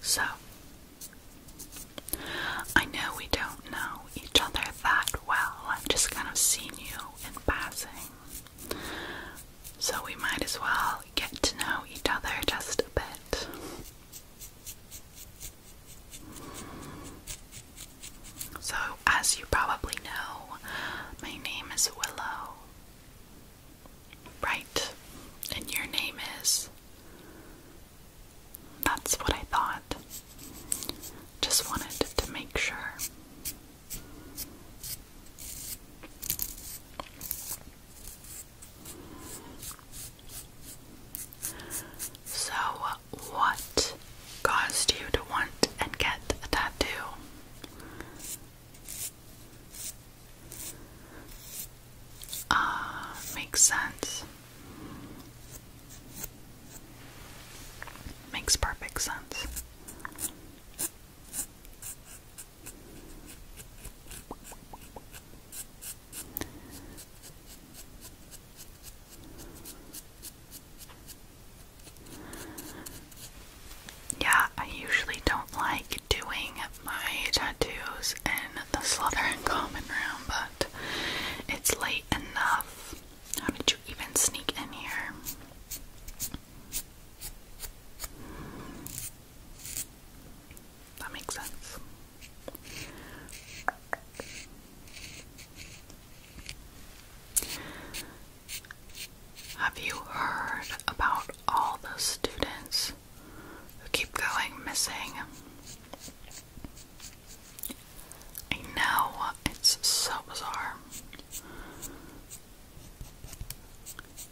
So, I know we don't know each other that well. I've just kind of seen you in passing. So, we might as well get to know each other just a bit. So, as you probably know, my name is Willow, Right. And your name is. That's what I thought. Just wanted to make sure. So, what caused you to want and get a tattoo? uh, makes sense. Makes perfect sense yeah, I usually don't like doing my tattoos in the Slaughter Common Room, but it's late enough. How did you even sneak in here? That makes sense. Have you heard about all the students keep going missing. I know, it's so bizarre.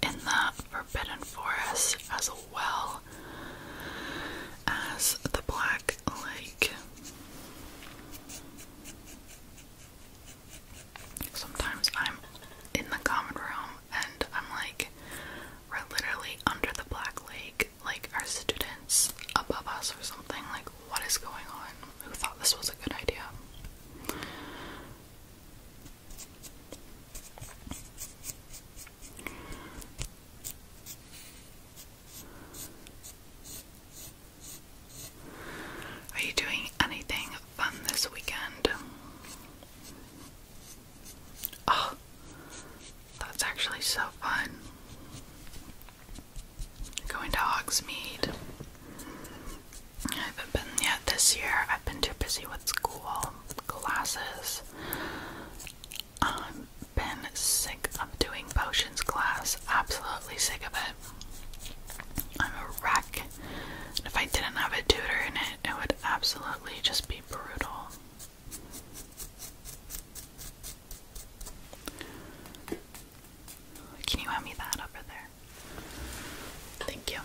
In the Forbidden Forest, as well as the Black Lake sometimes I'm in the common room and I'm like, we're literally under the Black Lake, like our students above us or something. Like, what is going on? Who thought this was a good idea? Are you doing anything fun this weekend? Oh, that's actually so fun. Going to Hogsmeade. I haven't been yet this year. I've been too busy with school, classes. Um, been sick of doing potions class, absolutely sick of it. I'm a if I didn't have a tutor in it, it would absolutely just be brutal. Can you hand me that over there? Thank you.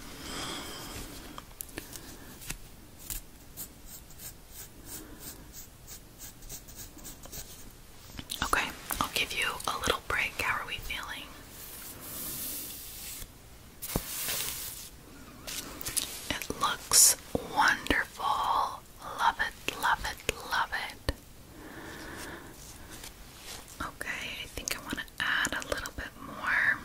Okay, I'll give you a little break. How are we feeling? It looks wonderful. Love it, love it, love it. Okay, I think I want to add a little bit more.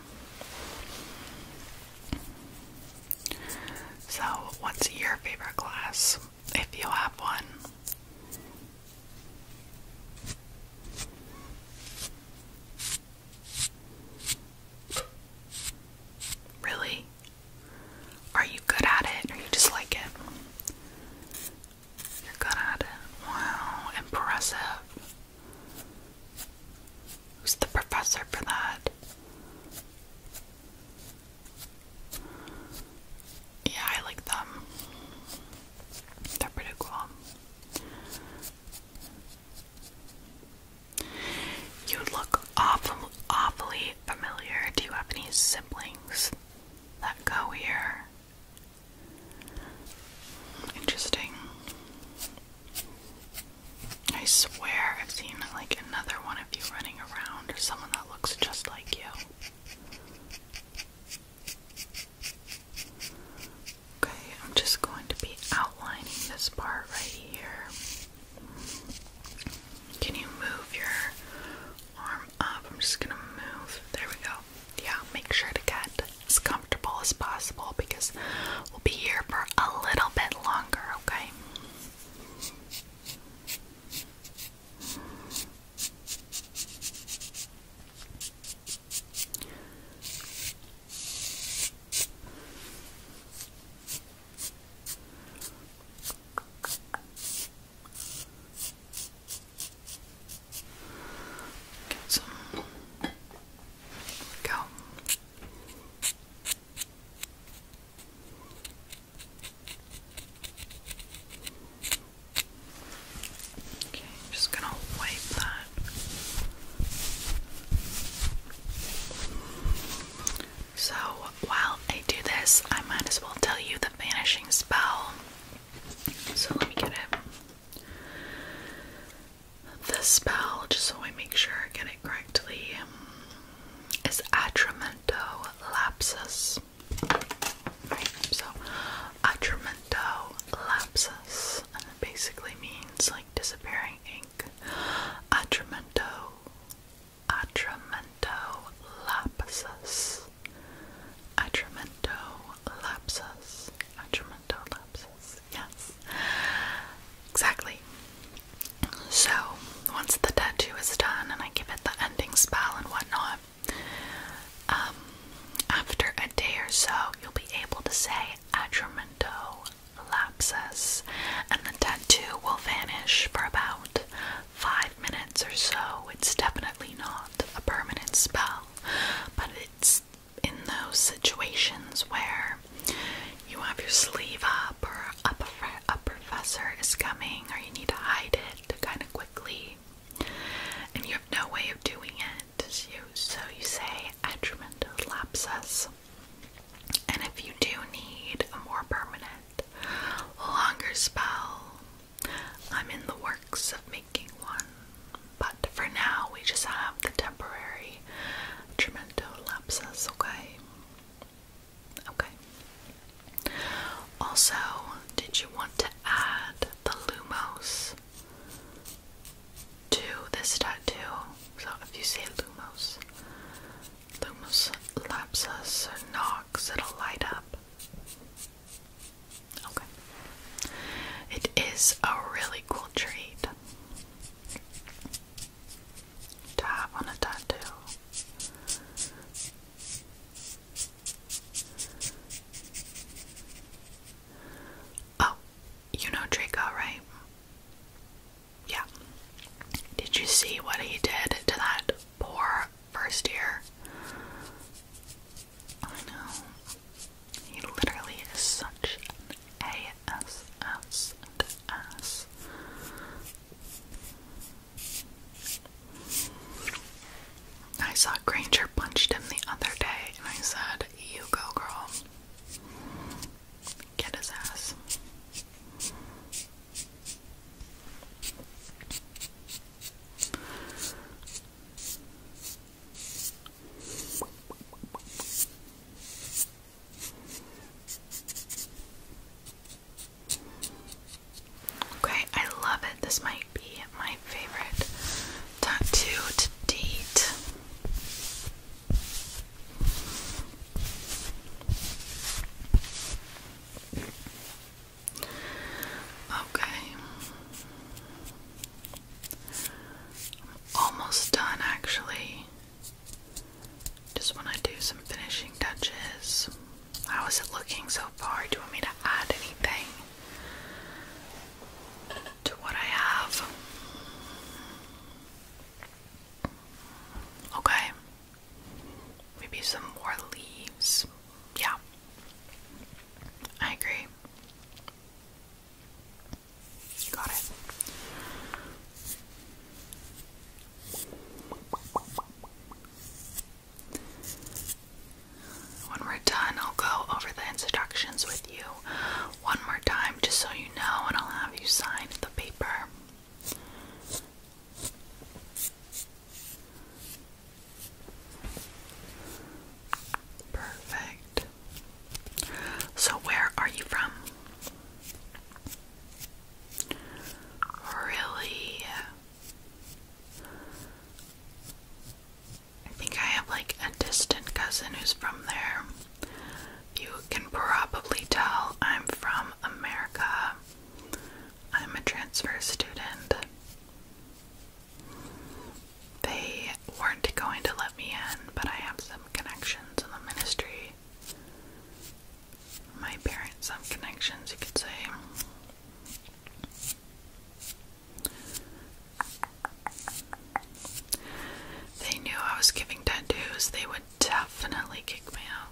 So, what's your favorite glass if you have one? Really? Are you good at it or you just like it? You're good at it. Wow, impressive. Who's the professor for that? Yeah, I like them. They're pretty cool. You look awfully familiar. Do you have any siblings that go here? Interesting. I swear I've seen like another one of you running around or someone that looks just like you. Okay, I'm just going to be outlining this part right here. Can you move your arm up? I'm just gonna move. There we go. Yeah, make sure to get as comfortable as possible because we'll be here for a little bit longer, okay? Get some. go. Okay, I'm just gonna wipe that so while I do this, I might as well tell you the vanishing spell. So let me get it. The spell, just so I make sure I get it correctly, is Atramento Lapsus. so Atramento Lapsus basically means like disappearing ink. Atramento, atramento lapsus, atramento lapsus, atramento lapsus. Yes, exactly. So once the tattoo is done and I give it the ending spell and whatnot, um, after a day or so, you'll be able to say atramento lapses, and the tattoo will vanish for about five minutes or so. It's definitely not a permanent spell, but it's in those situations where you have your sleeve up or a, prof is coming or you need to hide it kind of quickly and you have no way of doing it. So you say atrimental lapsus. And if you do need a more permanent, longer spell, I'm in the works of making one. But for now, we just have the temporary tremendo lapsus, okay? Okay. Also, did you want to add the Lumos to this tattoo. So if you say Lumos, Lumos lapsus or Nox, it'll light up. Okay. It is a really cool treat to have on a tattoo. Oh, you know Draco, right? Yeah. Did you see what he did to that poor first year? I know. He literally is such an ASS and ass. I saw Granger punched him the other day and I said, You go, girl. Get his ass. Okay, I love it. This might be my favorite tattoo to date. Okay. Almost done actually. Just want to do some finishing touches. How is it looking so far? Do you want me to add anything to what I have? Okay. Maybe some more leaves. Yeah. I agree. Got it. When we're done, I'll go over the instructions with you one more time just so you know, and I'll have you sign the paper. Perfect. So, where are you from? Really? I think I have like a distant cousin who's from there. You can probably tell I'm from America. I'm a transfer student. They weren't going to let me in, but I have some connections in the ministry. My parents have connections, you could say. They knew I was giving tattoos, they would definitely kick me out.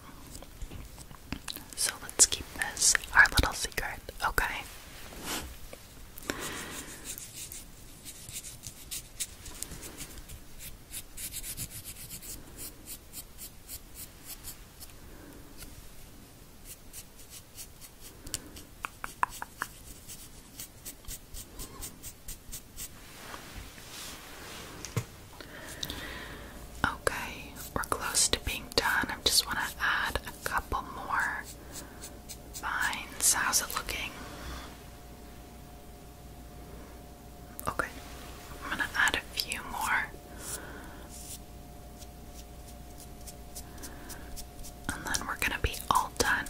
So let's keep this our little secret, okay? Okay, we're close to being done. I just want to add a couple more vines. How's it looking? Okay, I'm gonna add a few more. And then we're gonna be all done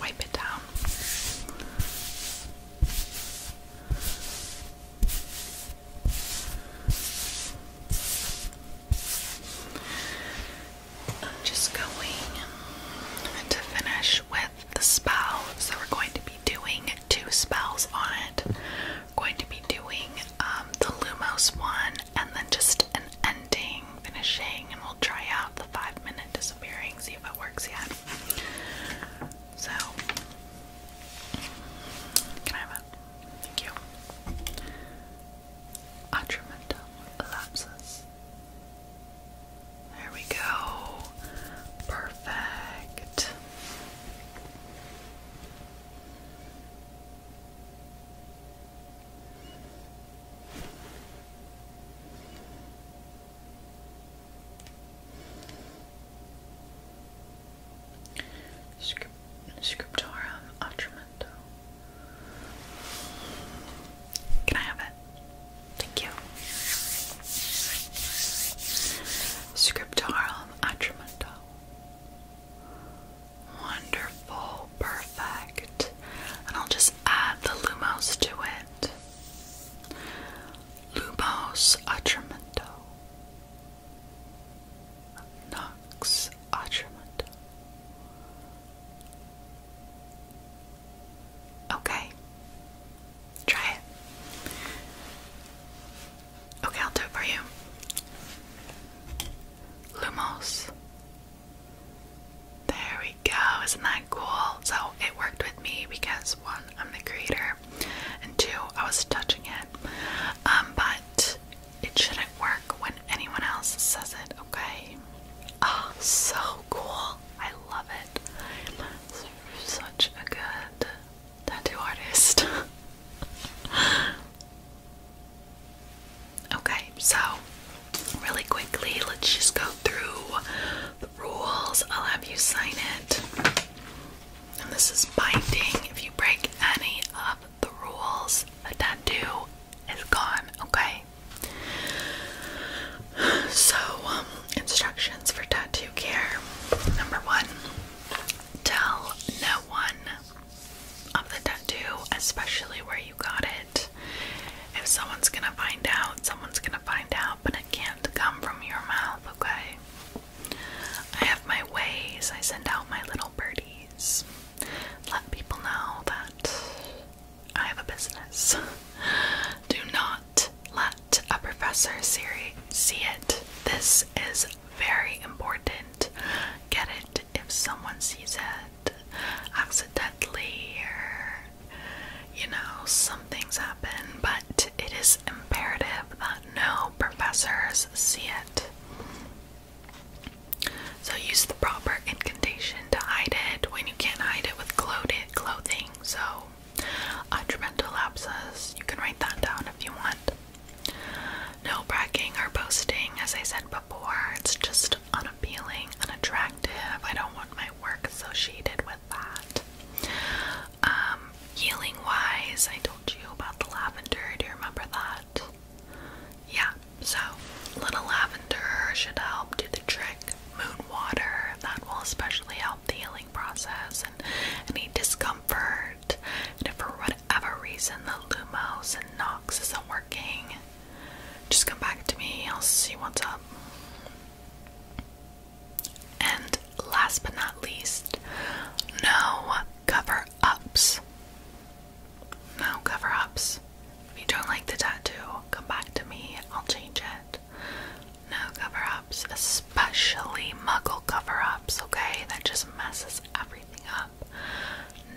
wipe it down. I'm just going to finish with the spell. So we're going to be doing two spells on it. We're going to be doing um, the Lumos one and then just an ending, finishing, I'll try out the five minute disappearing, see if it works yet. So, Thank you. Atramentum lapsus. There we go. Perfect. Scriptum Atramento. Can I have it? Thank you. Scriptorum Atramento. Wonderful, perfect and I'll just add the Lumos to it. Lumos Atramento. Nox Atramento. Okay. Try it. Okay, I'll do it for you. Lumos there we go. Isn't that cool? So it worked with me because one, I'm the creator, and two, I was touching it. Um, but it shouldn't work when anyone else says it, okay? Oh, so cool. I love it. Such a good tattoo artist. Okay, so really quickly, let's just go through the rules. I'll have you sign it. And this is binding. If you break any of the rules, the tattoo is gone, okay? So, um, instructions for tattoo care. Number one, tell no one of the tattoo, especially where you got it. If someone's gonna find out, someone's gonna find out, but it can't come from your mouth, okay? I have my ways, I send out my little birdies. Let people know that I have a business. Do not let a professor see it. This is very important. Get it if someone sees it accidentally or you know, some things happen, but it is imperative that no professors see it. So use the proper incantation to hide it when you can't hide it with clothed clothing. So, detrimental lapses, you can write that down if you want. No bragging or boasting, as I said before, it's just on a unappealing, unattractive. I don't want my work associated with that. Um, healing wise, I told you about the lavender. Do you remember that? Yeah, so little lavender should help do the trick. Moon water, that will especially help the healing process and any discomfort. And if for whatever reason the Lumos and Nox isn't working, just come back to me, I'll see what's up. And last but not least, no cover ups. No cover ups. If you don't like the tattoo, come back to me, I'll change it. No cover ups, especially muggle cover ups, okay? That just messes everything up.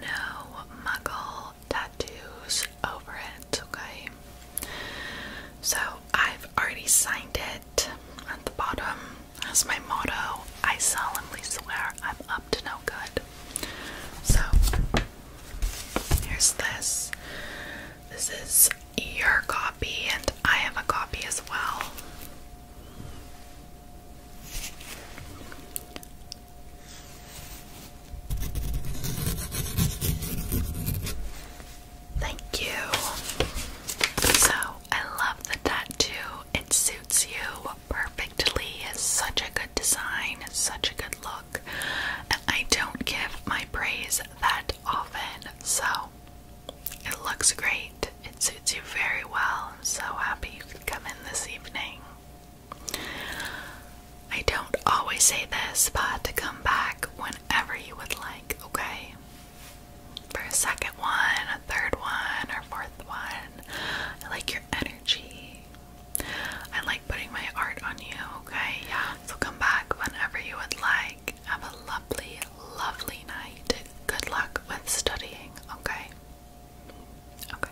No muggle tattoos over it, okay? So I've already signed it at the bottom as my motto. I solemnly swear I'm up to no good. So here's this. This is your copy, and I have a copy as well. Thank you. So, I love the tattoo. It suits you perfectly. It's such a good design, it's such a good look. I don't give my praise that often, so it looks great. It suits you very well. I'm so happy you could come in this evening. I don't always say this, but to come back whenever you would like, okay? For a second one, a third one, or fourth one. I like your energy. I like putting my art on you, okay? Yeah. So come back whenever you would like. Have a lovely, lovely night. Good luck with studying, okay? Okay.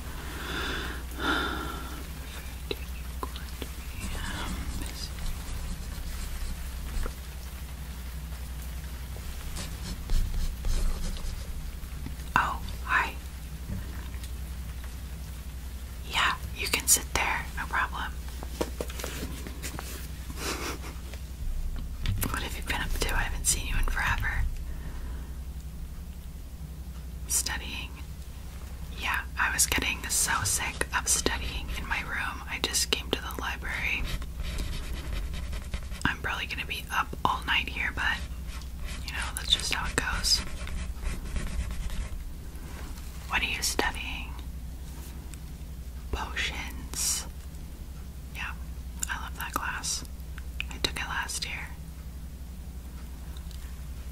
you Oh, hi. Yeah, you can sit there, no problem. what have you been up to? I haven't seen you in forever studying. Yeah, I was getting so sick of studying in my room. I just came to the library. I'm probably gonna be up all night here, but you know, that's just how it goes. What are you studying? Potions. Yeah, I love that class. I took it last year.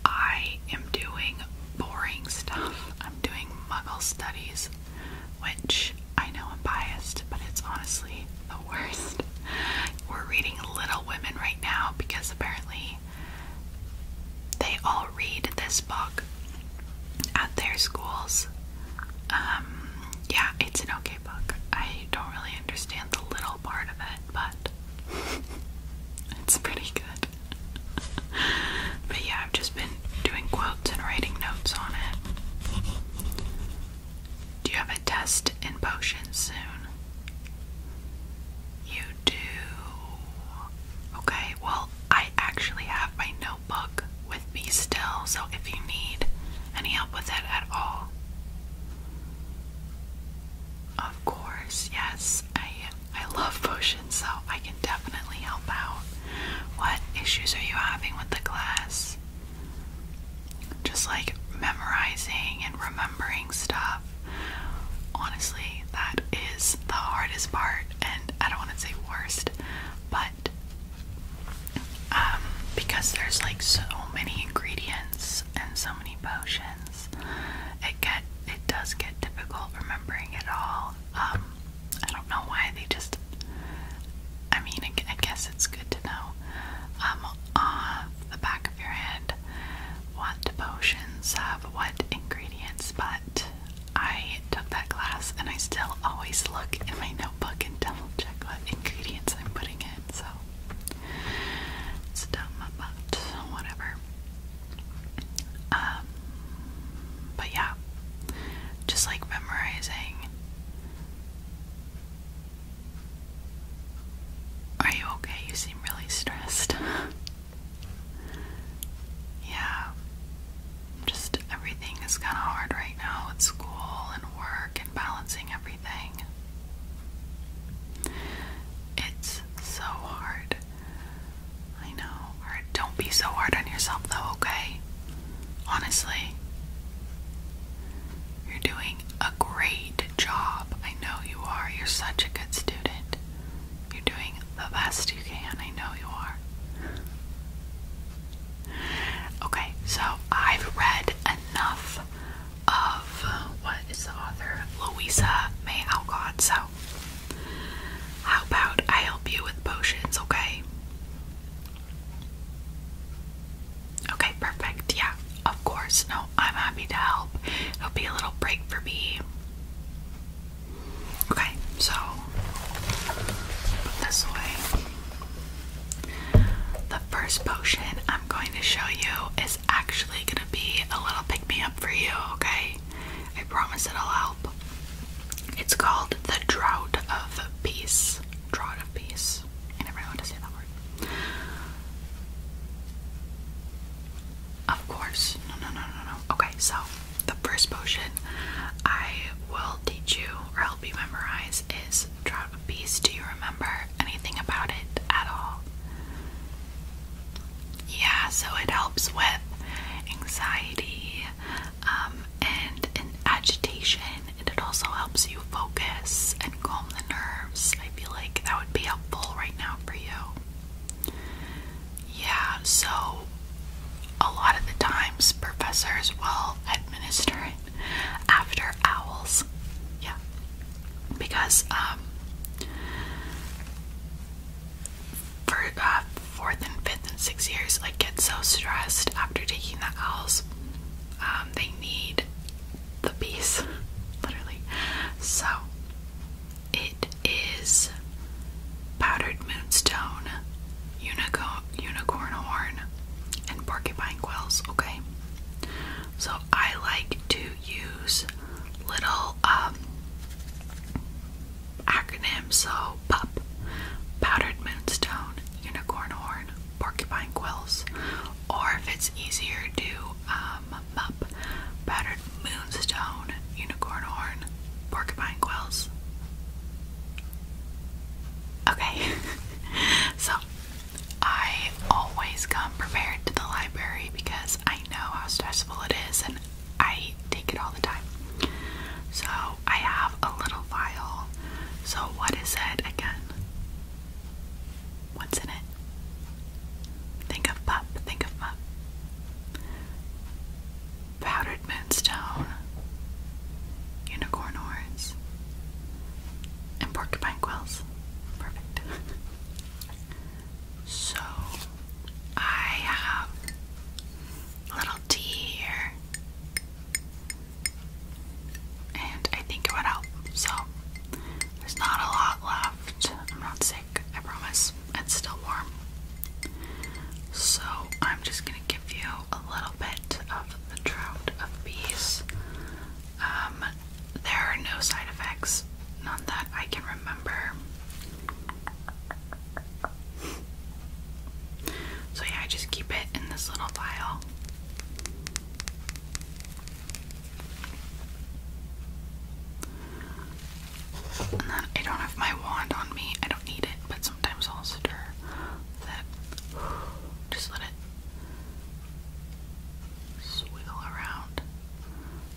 I am doing boring stuff. I'm doing muggle studies, which I know I'm biased, but it's honestly the worst. We're reading Little Women right now because apparently they all read this book at their schools. Um, yeah, it's an okay book. I don't really understand the little part of it, but it's pretty good. but yeah, I've just been doing quotes and writing notes on it. Do you have a test in potions soon? You do. Okay, well, I actually have my notebook with me still, so if you need any help with it at all, of course, yes. I I love potions, so I can definitely help out. What issues are you having with the class? Just like memorizing and remembering stuff. Honestly, that is the hardest part, and I don't want to say worst, but um, because there's like so many ingredients and so many potions. It get it does get difficult remembering it all. Um, I don't know why they just. I mean, I, guess it's good to know. Um, off the back of your hand, what potions have what ingredients, but I took that class and I still always look in my notebook and double check what ingredients I'm putting in. So it's dumb, but whatever. Um, but yeah, just like memorizing. Are you okay? You seem really stressed. yeah, just everything is kind of hard right now at school and work and balancing everything. It's so hard. I know. don't be so hard on yourself, though, okay? Honestly, you're doing a great job. I know you are. You're such a good student. You're doing the best you can. I know you are. Okay, so I've read enough of uh, what is the author? Louisa May Alcott. So, how about I help you with potions, okay? Okay, perfect. Yeah, of course. No, I'm happy to help. It'll be a little break for me. Okay, so this away. The first potion I'm going to show you is actually gonna be a little pick me up for you, okay? I promise it'll help. It's called The Drought of Peace. Drought of Peace. I never want to say that word. Of course. No, no, no, no, no. Okay, so the first potion I will teach you or help you memorize is Drought of Peace. Do you remember anything about it at all? yeah, so it helps with anxiety um, and, and agitation, and it also helps you focus and calm the nerves. I feel like that would be helpful right now for you. Yeah, so a lot of the times professors will administer it after owls. Yeah because um, for uh, fourth and fifth and sixth years, like get so stressed after taking the owls. Um, they need the piece, literally. So it is powdered moonstone, unicorn, unicorn horn, and porcupine quills. Okay, so I like to use little um, acronym. So pup, powdered moonstone, unicorn horn, porcupine quills, or if it's easier, do um, mup, powdered moonstone, unicorn horn, porcupine quills. Okay, so I always come prepared to the library because I know how stressful it is and I take it all the time. So I have a little vial. So what is it again? What's in it? Think of pup, think of pup. Powdered moonstone, unicorn horns, and porcupine quills. Perfect. So I have a little tea here, and I think it would help. So there's not a lot left. I'm not sick, I promise. It's still warm. So I'm just gonna give you a little bit of the drought of peas. Um, there are no side effects, none that I can remember. So, yeah, I just keep it in this little vial. And then I don't have my wand on me, I don't need it, but sometimes I'll stir that. Just let it swiggle around.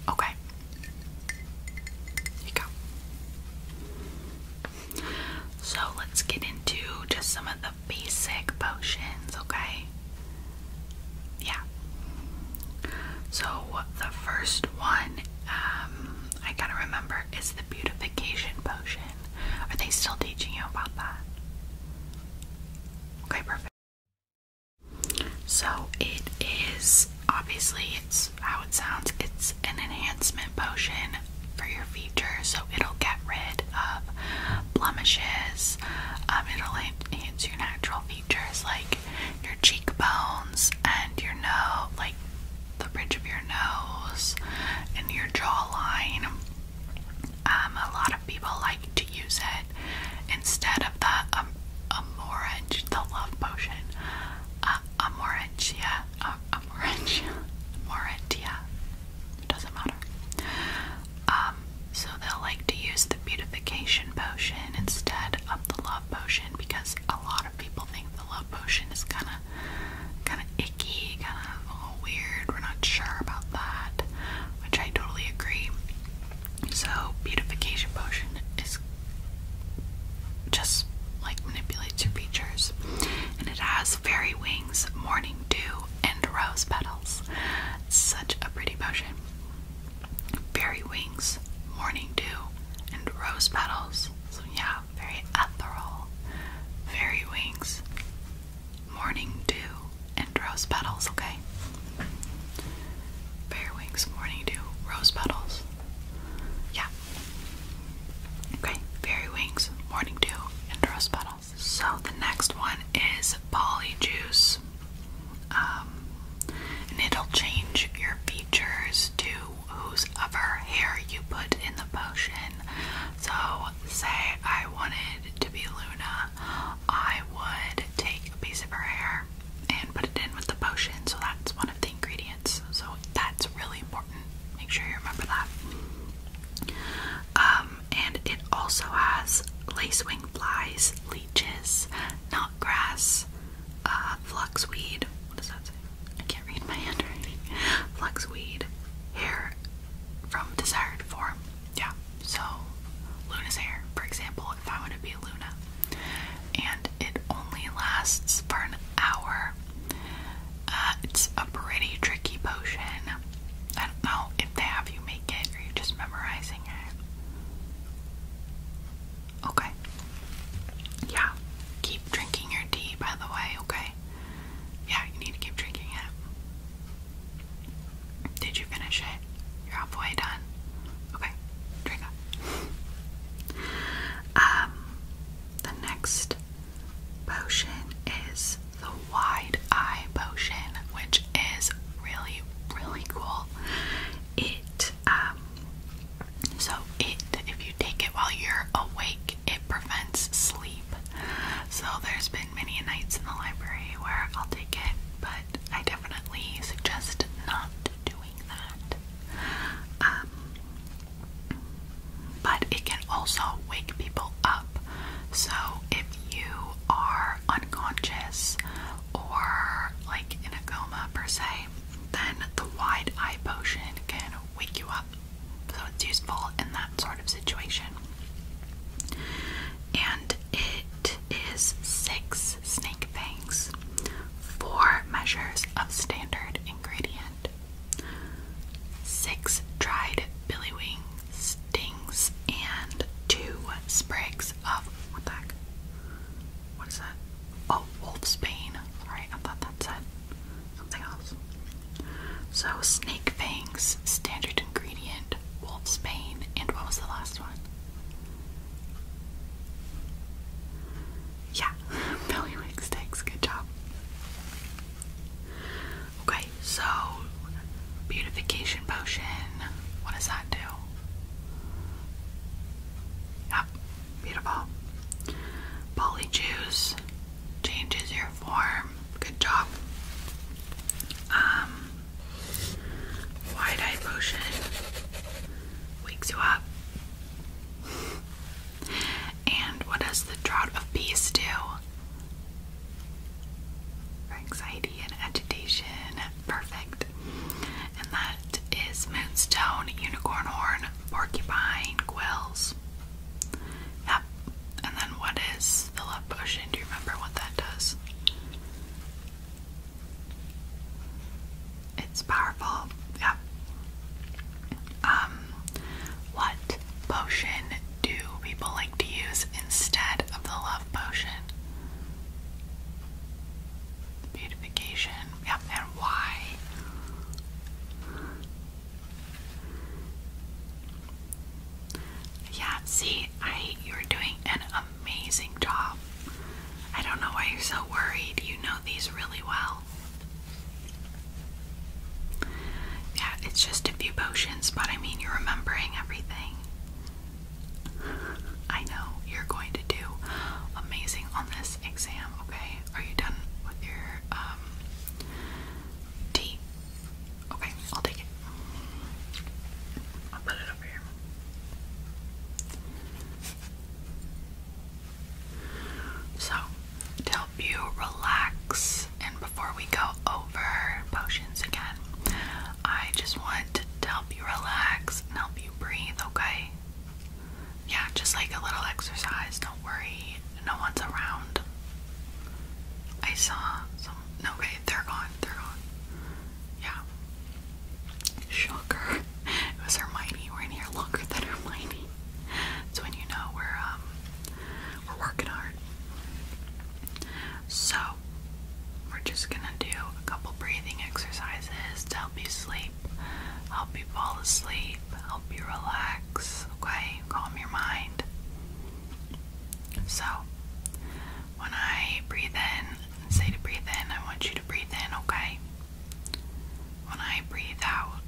Okay. Here you go. So let's get into just some of the basic potions, okay? Yeah. So the first one, um, I gotta remember, is the beautification potion. Are they still teaching you about that? Okay, perfect. So it is obviously it's how it sounds. It's an enhancement potion for your features. so it'll get rid of blemishes. Um, it'll enhance your natural features like your cheekbones and your nose, like the bridge of your nose and your jawline. Um, a lot of people like to use it instead of the um, the love potion. Uh, amorantia, uh, amorantia, amorantia. It doesn't matter. Um, so they'll like to use the beautification potion instead of the love potion because a lot of people think the love potion is kind of, kind of icky, kind of weird. We're not sure about that, which I totally agree. So, beautification potion is just like manipulates your features, and it has fairy wings, morning dew, and rose petals. Such a pretty potion. Fairy wings, morning dew, and rose petals. yeah, very ethereal. Fairy wings, morning dew, and rose petals, okay? Fairwings morning dew, rose petals. Yeah. Okay, fairy wings, morning dew, and rose petals. So the next one is polyjuice. Um, and it'll change your features to whoever hair you put in the potion. So, say I wanted to be Luna, I would take a piece of her hair and put it in with the potion. So that's one of the ingredients. So that's really important. Make sure you remember that. Um, and it also has lacewing flies, leeches, not grass, uh, fluxweed. What does that say? I can't read my handwriting. Fluxweed, hair from desired form. Yeah. So Luna's hair, for example, I want to be Luna. And it only lasts for an hour. Uh, it's a pretty tricky potion. I don't know if they have you make it or you're just memorizing it. Okay. Yeah. Keep drinking your tea, by the way, okay? Yeah, you need to keep drinking it. Did you finish it? You're halfway done. Okay, drink up. um, the next potion is the wide eye potion, which is really, really cool. It, um, so it, if you take it while you're awake, it prevents sleep. So there's been many nights in the library where I'll take it, but I definitely suggest not doing that. Um, but it can also wake people up. So if you are unconscious or like in a coma per se, then the wide eye potion can wake you up. So it's useful in that sort of situation. And it is six snake fangs. Four measures of standard ingredient. Six dried billy wings, stings and two sprigs of what the heck? What is that? Oh, wolfsbane. Sorry, I thought that said something else. So snake fangs, standard ingredient, wolf's wolfsbane, and what was the last one? Yeah, Billy Wig Sticks, good job. Okay, so beautification potion, what does that do? Yep, beautiful. Polyjuice changes your form, good job. Um, Wide eyed potion wakes you up. and what does the drought of peace do? For anxiety and agitation. Perfect. And that is moonstone, unicorn horn, porcupine, quills. Yep. And then what is the love potion? Do you remember what that does? It's powerful. Yeah. Um, what potion do people like to use instead of the love potion? Beautification. Yep, and why? Yeah, see, I you're doing an amazing job. I don't know why you're so worried. You know these really well. Yeah, it's just a few potions, but I mean, you're remembering everything. I know you're going to do amazing on this exam, okay? Are you done with your um, tea? Okay, I'll take it. I'll put it over here. So, help you relax, and before we go over potions again, I just want to help you relax and help you breathe, okay? Yeah, just like a little exercise, don't worry, no one's around. I saw okay, they're gone, they're gone. Yeah. Shocker. It was Hermione. We're in here longer than Hermione. It's when you know we're um we're working hard. So we're just gonna do a couple breathing exercises to help you sleep, help you fall asleep, help you relax, okay? Calm your mind. So when I breathe in, say to breathe in, I want you to breathe in, okay? When I breathe out,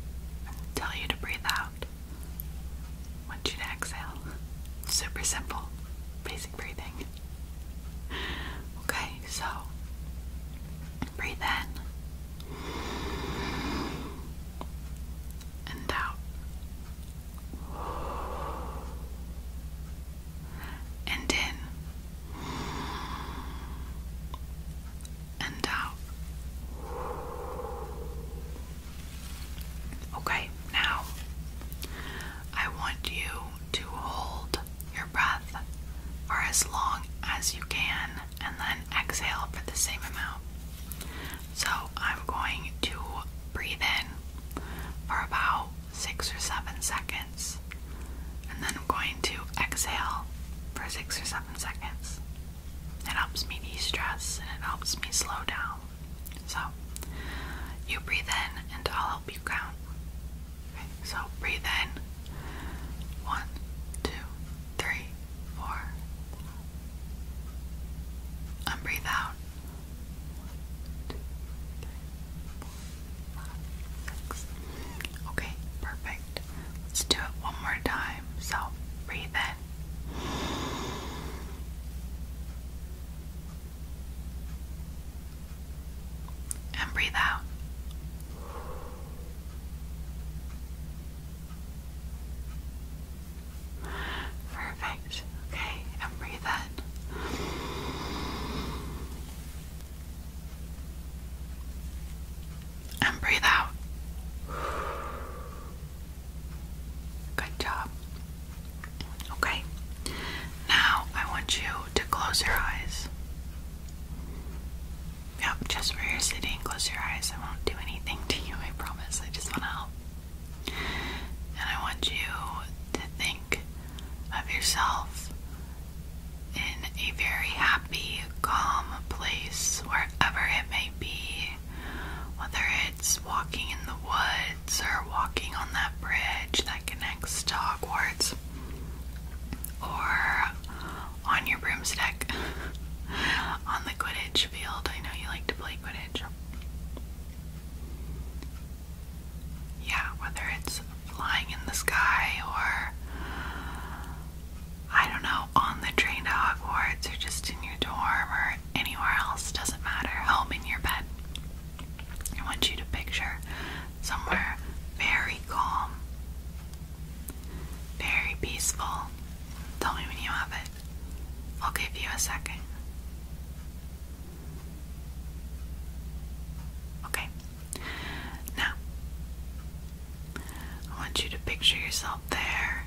tell you to breathe out. I want you to exhale. Super simple, basic breathing. Okay, so breathe in and out. And in and out. Okay, now I want you to hold your breath for as long as you can and then exhale for the same amount. So I'm going to breathe in for about six or seven seconds, and then I'm going to exhale for six or seven seconds. It helps me de stress and it helps me slow down. So, you breathe in and I'll help you count. so breathe in. One, two, three, four. And breathe out. One, two, three, Okay, perfect. Let's do it one more time. So, breathe in. And breathe out. Perfect. Okay, and breathe in. And breathe out. Good job. Okay. Now I want you to close your eyes. Yep, just where you're sitting, close your eyes. I won't do anything to you, I promise. I just want to help. And I want you to think of yourself in a very happy, calm place, wherever it may be, whether it's walking in the woods or walking on that bridge that connects to Hogwarts or on your broomstick on the Quidditch field. I know you like to play Quidditch yeah, whether it's flying in the sky or I don't know, on the train to Hogwarts or just in your dorm or anywhere else, doesn't matter, home in your bed. I want you to picture somewhere very calm, very peaceful. Tell me when you have it. I'll give you a second. Okay, now, I want you to picture yourself there,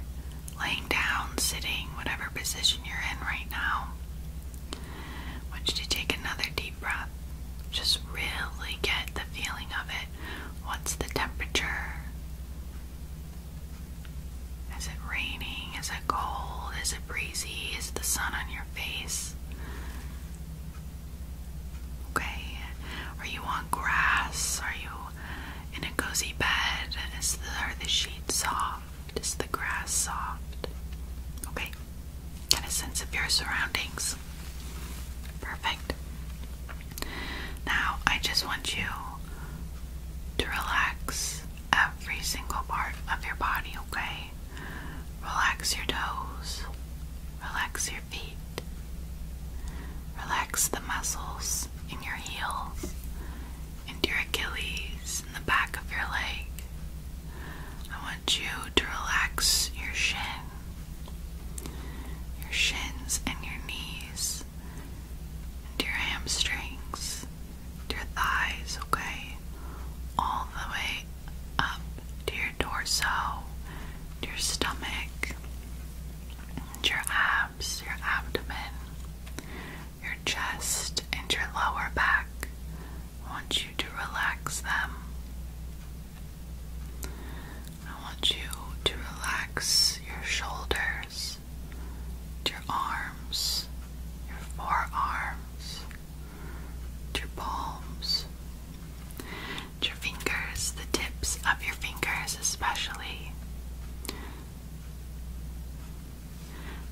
laying down, sitting, whatever position you're in right now. want you to take another deep breath. Just really get the feeling of it. What's the temperature? Is it raining? Is it cold? Is it breezy? Is the sun on your face? Okay? Are you on grass? Are you in a cozy bed? Is the, are the sheets soft? Is the grass soft? Okay? Get a sense of your surroundings. Perfect. Now, I just want you to relax every single part of your body, okay? Relax your toes. Relax your feet. Relax the muscles in your heels, and your Achilles, in the back of your leg. I want you to relax your shin, your shins, and your knees, and your hamstrings, your thighs, okay? All the way up to your torso, your stomach, your abs, your abdomen, your chest, and your lower back. I want you to relax them. I want you to relax your shoulders, your arms, your forearms, your palms your fingers, the tips of your fingers especially. I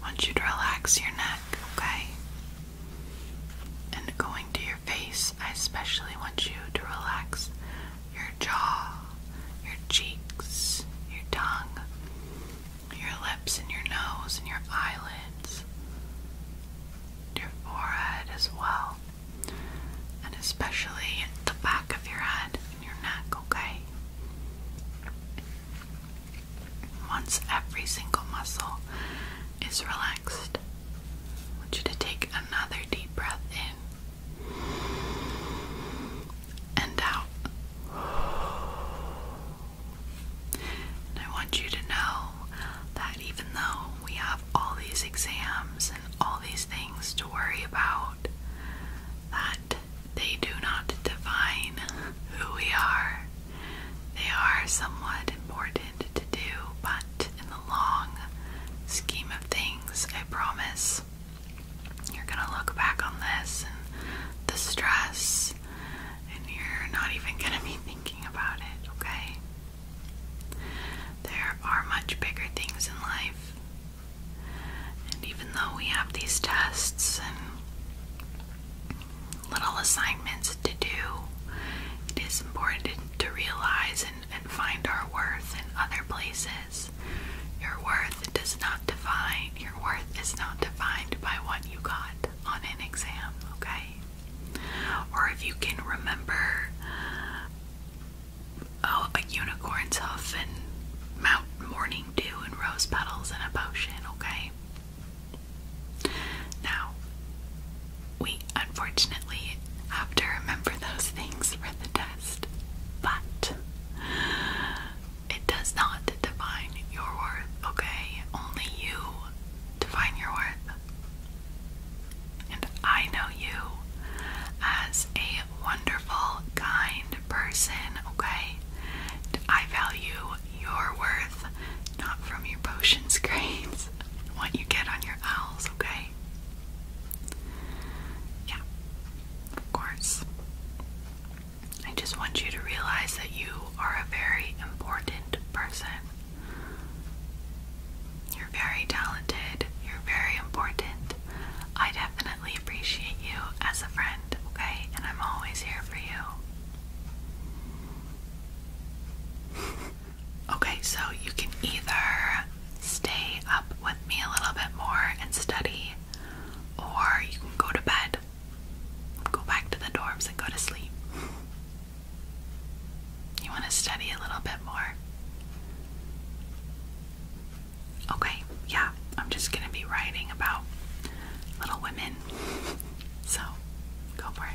want you to relax your neck, okay? And going to your face, I especially want you to relax your jaw, your cheeks, your tongue, your lips, and your nose, and your eyelids your forehead as well, and especially the back of your head and your neck, okay? Once every single muscle is relaxed, I want you to take another deep breath in and out. I want you to know that even though we have all these exams and all these things to worry about that they do not define who we are. They are somewhat important to do, but in the long scheme of things, I promise you're gonna look back on this and the stress, and you're not even gonna be thinking about it, okay? There are much bigger things in life. And even though we have these tests and little assignments to do, it is important to realize and, find our worth in other places. Your worth does not define, your worth is not defined by what you got on an exam, okay? Or if you can remember oh, a unicorn's hoof and Mount Morning Dew and rose petals and a potion, okay? Now, we unfortunately have to remember those things for the test, but it does not define your worth, okay? Only you define your worth. And I know you as a wonderful, kind person, okay? I value your worth, not from your potion screens, what you get on your owls, okay? Yeah, of course. I just want you to realize that you are a very important person. You're very talented. You're very important. I definitely appreciate you as a friend, okay? And I'm always here for you. okay, so you can either stay up with me a little bit more and study, or you can go to bed, go back to the dorms, and go to sleep. You want to study a little bit more? Okay, yeah, I'm just going to be writing about little women. So, go for it.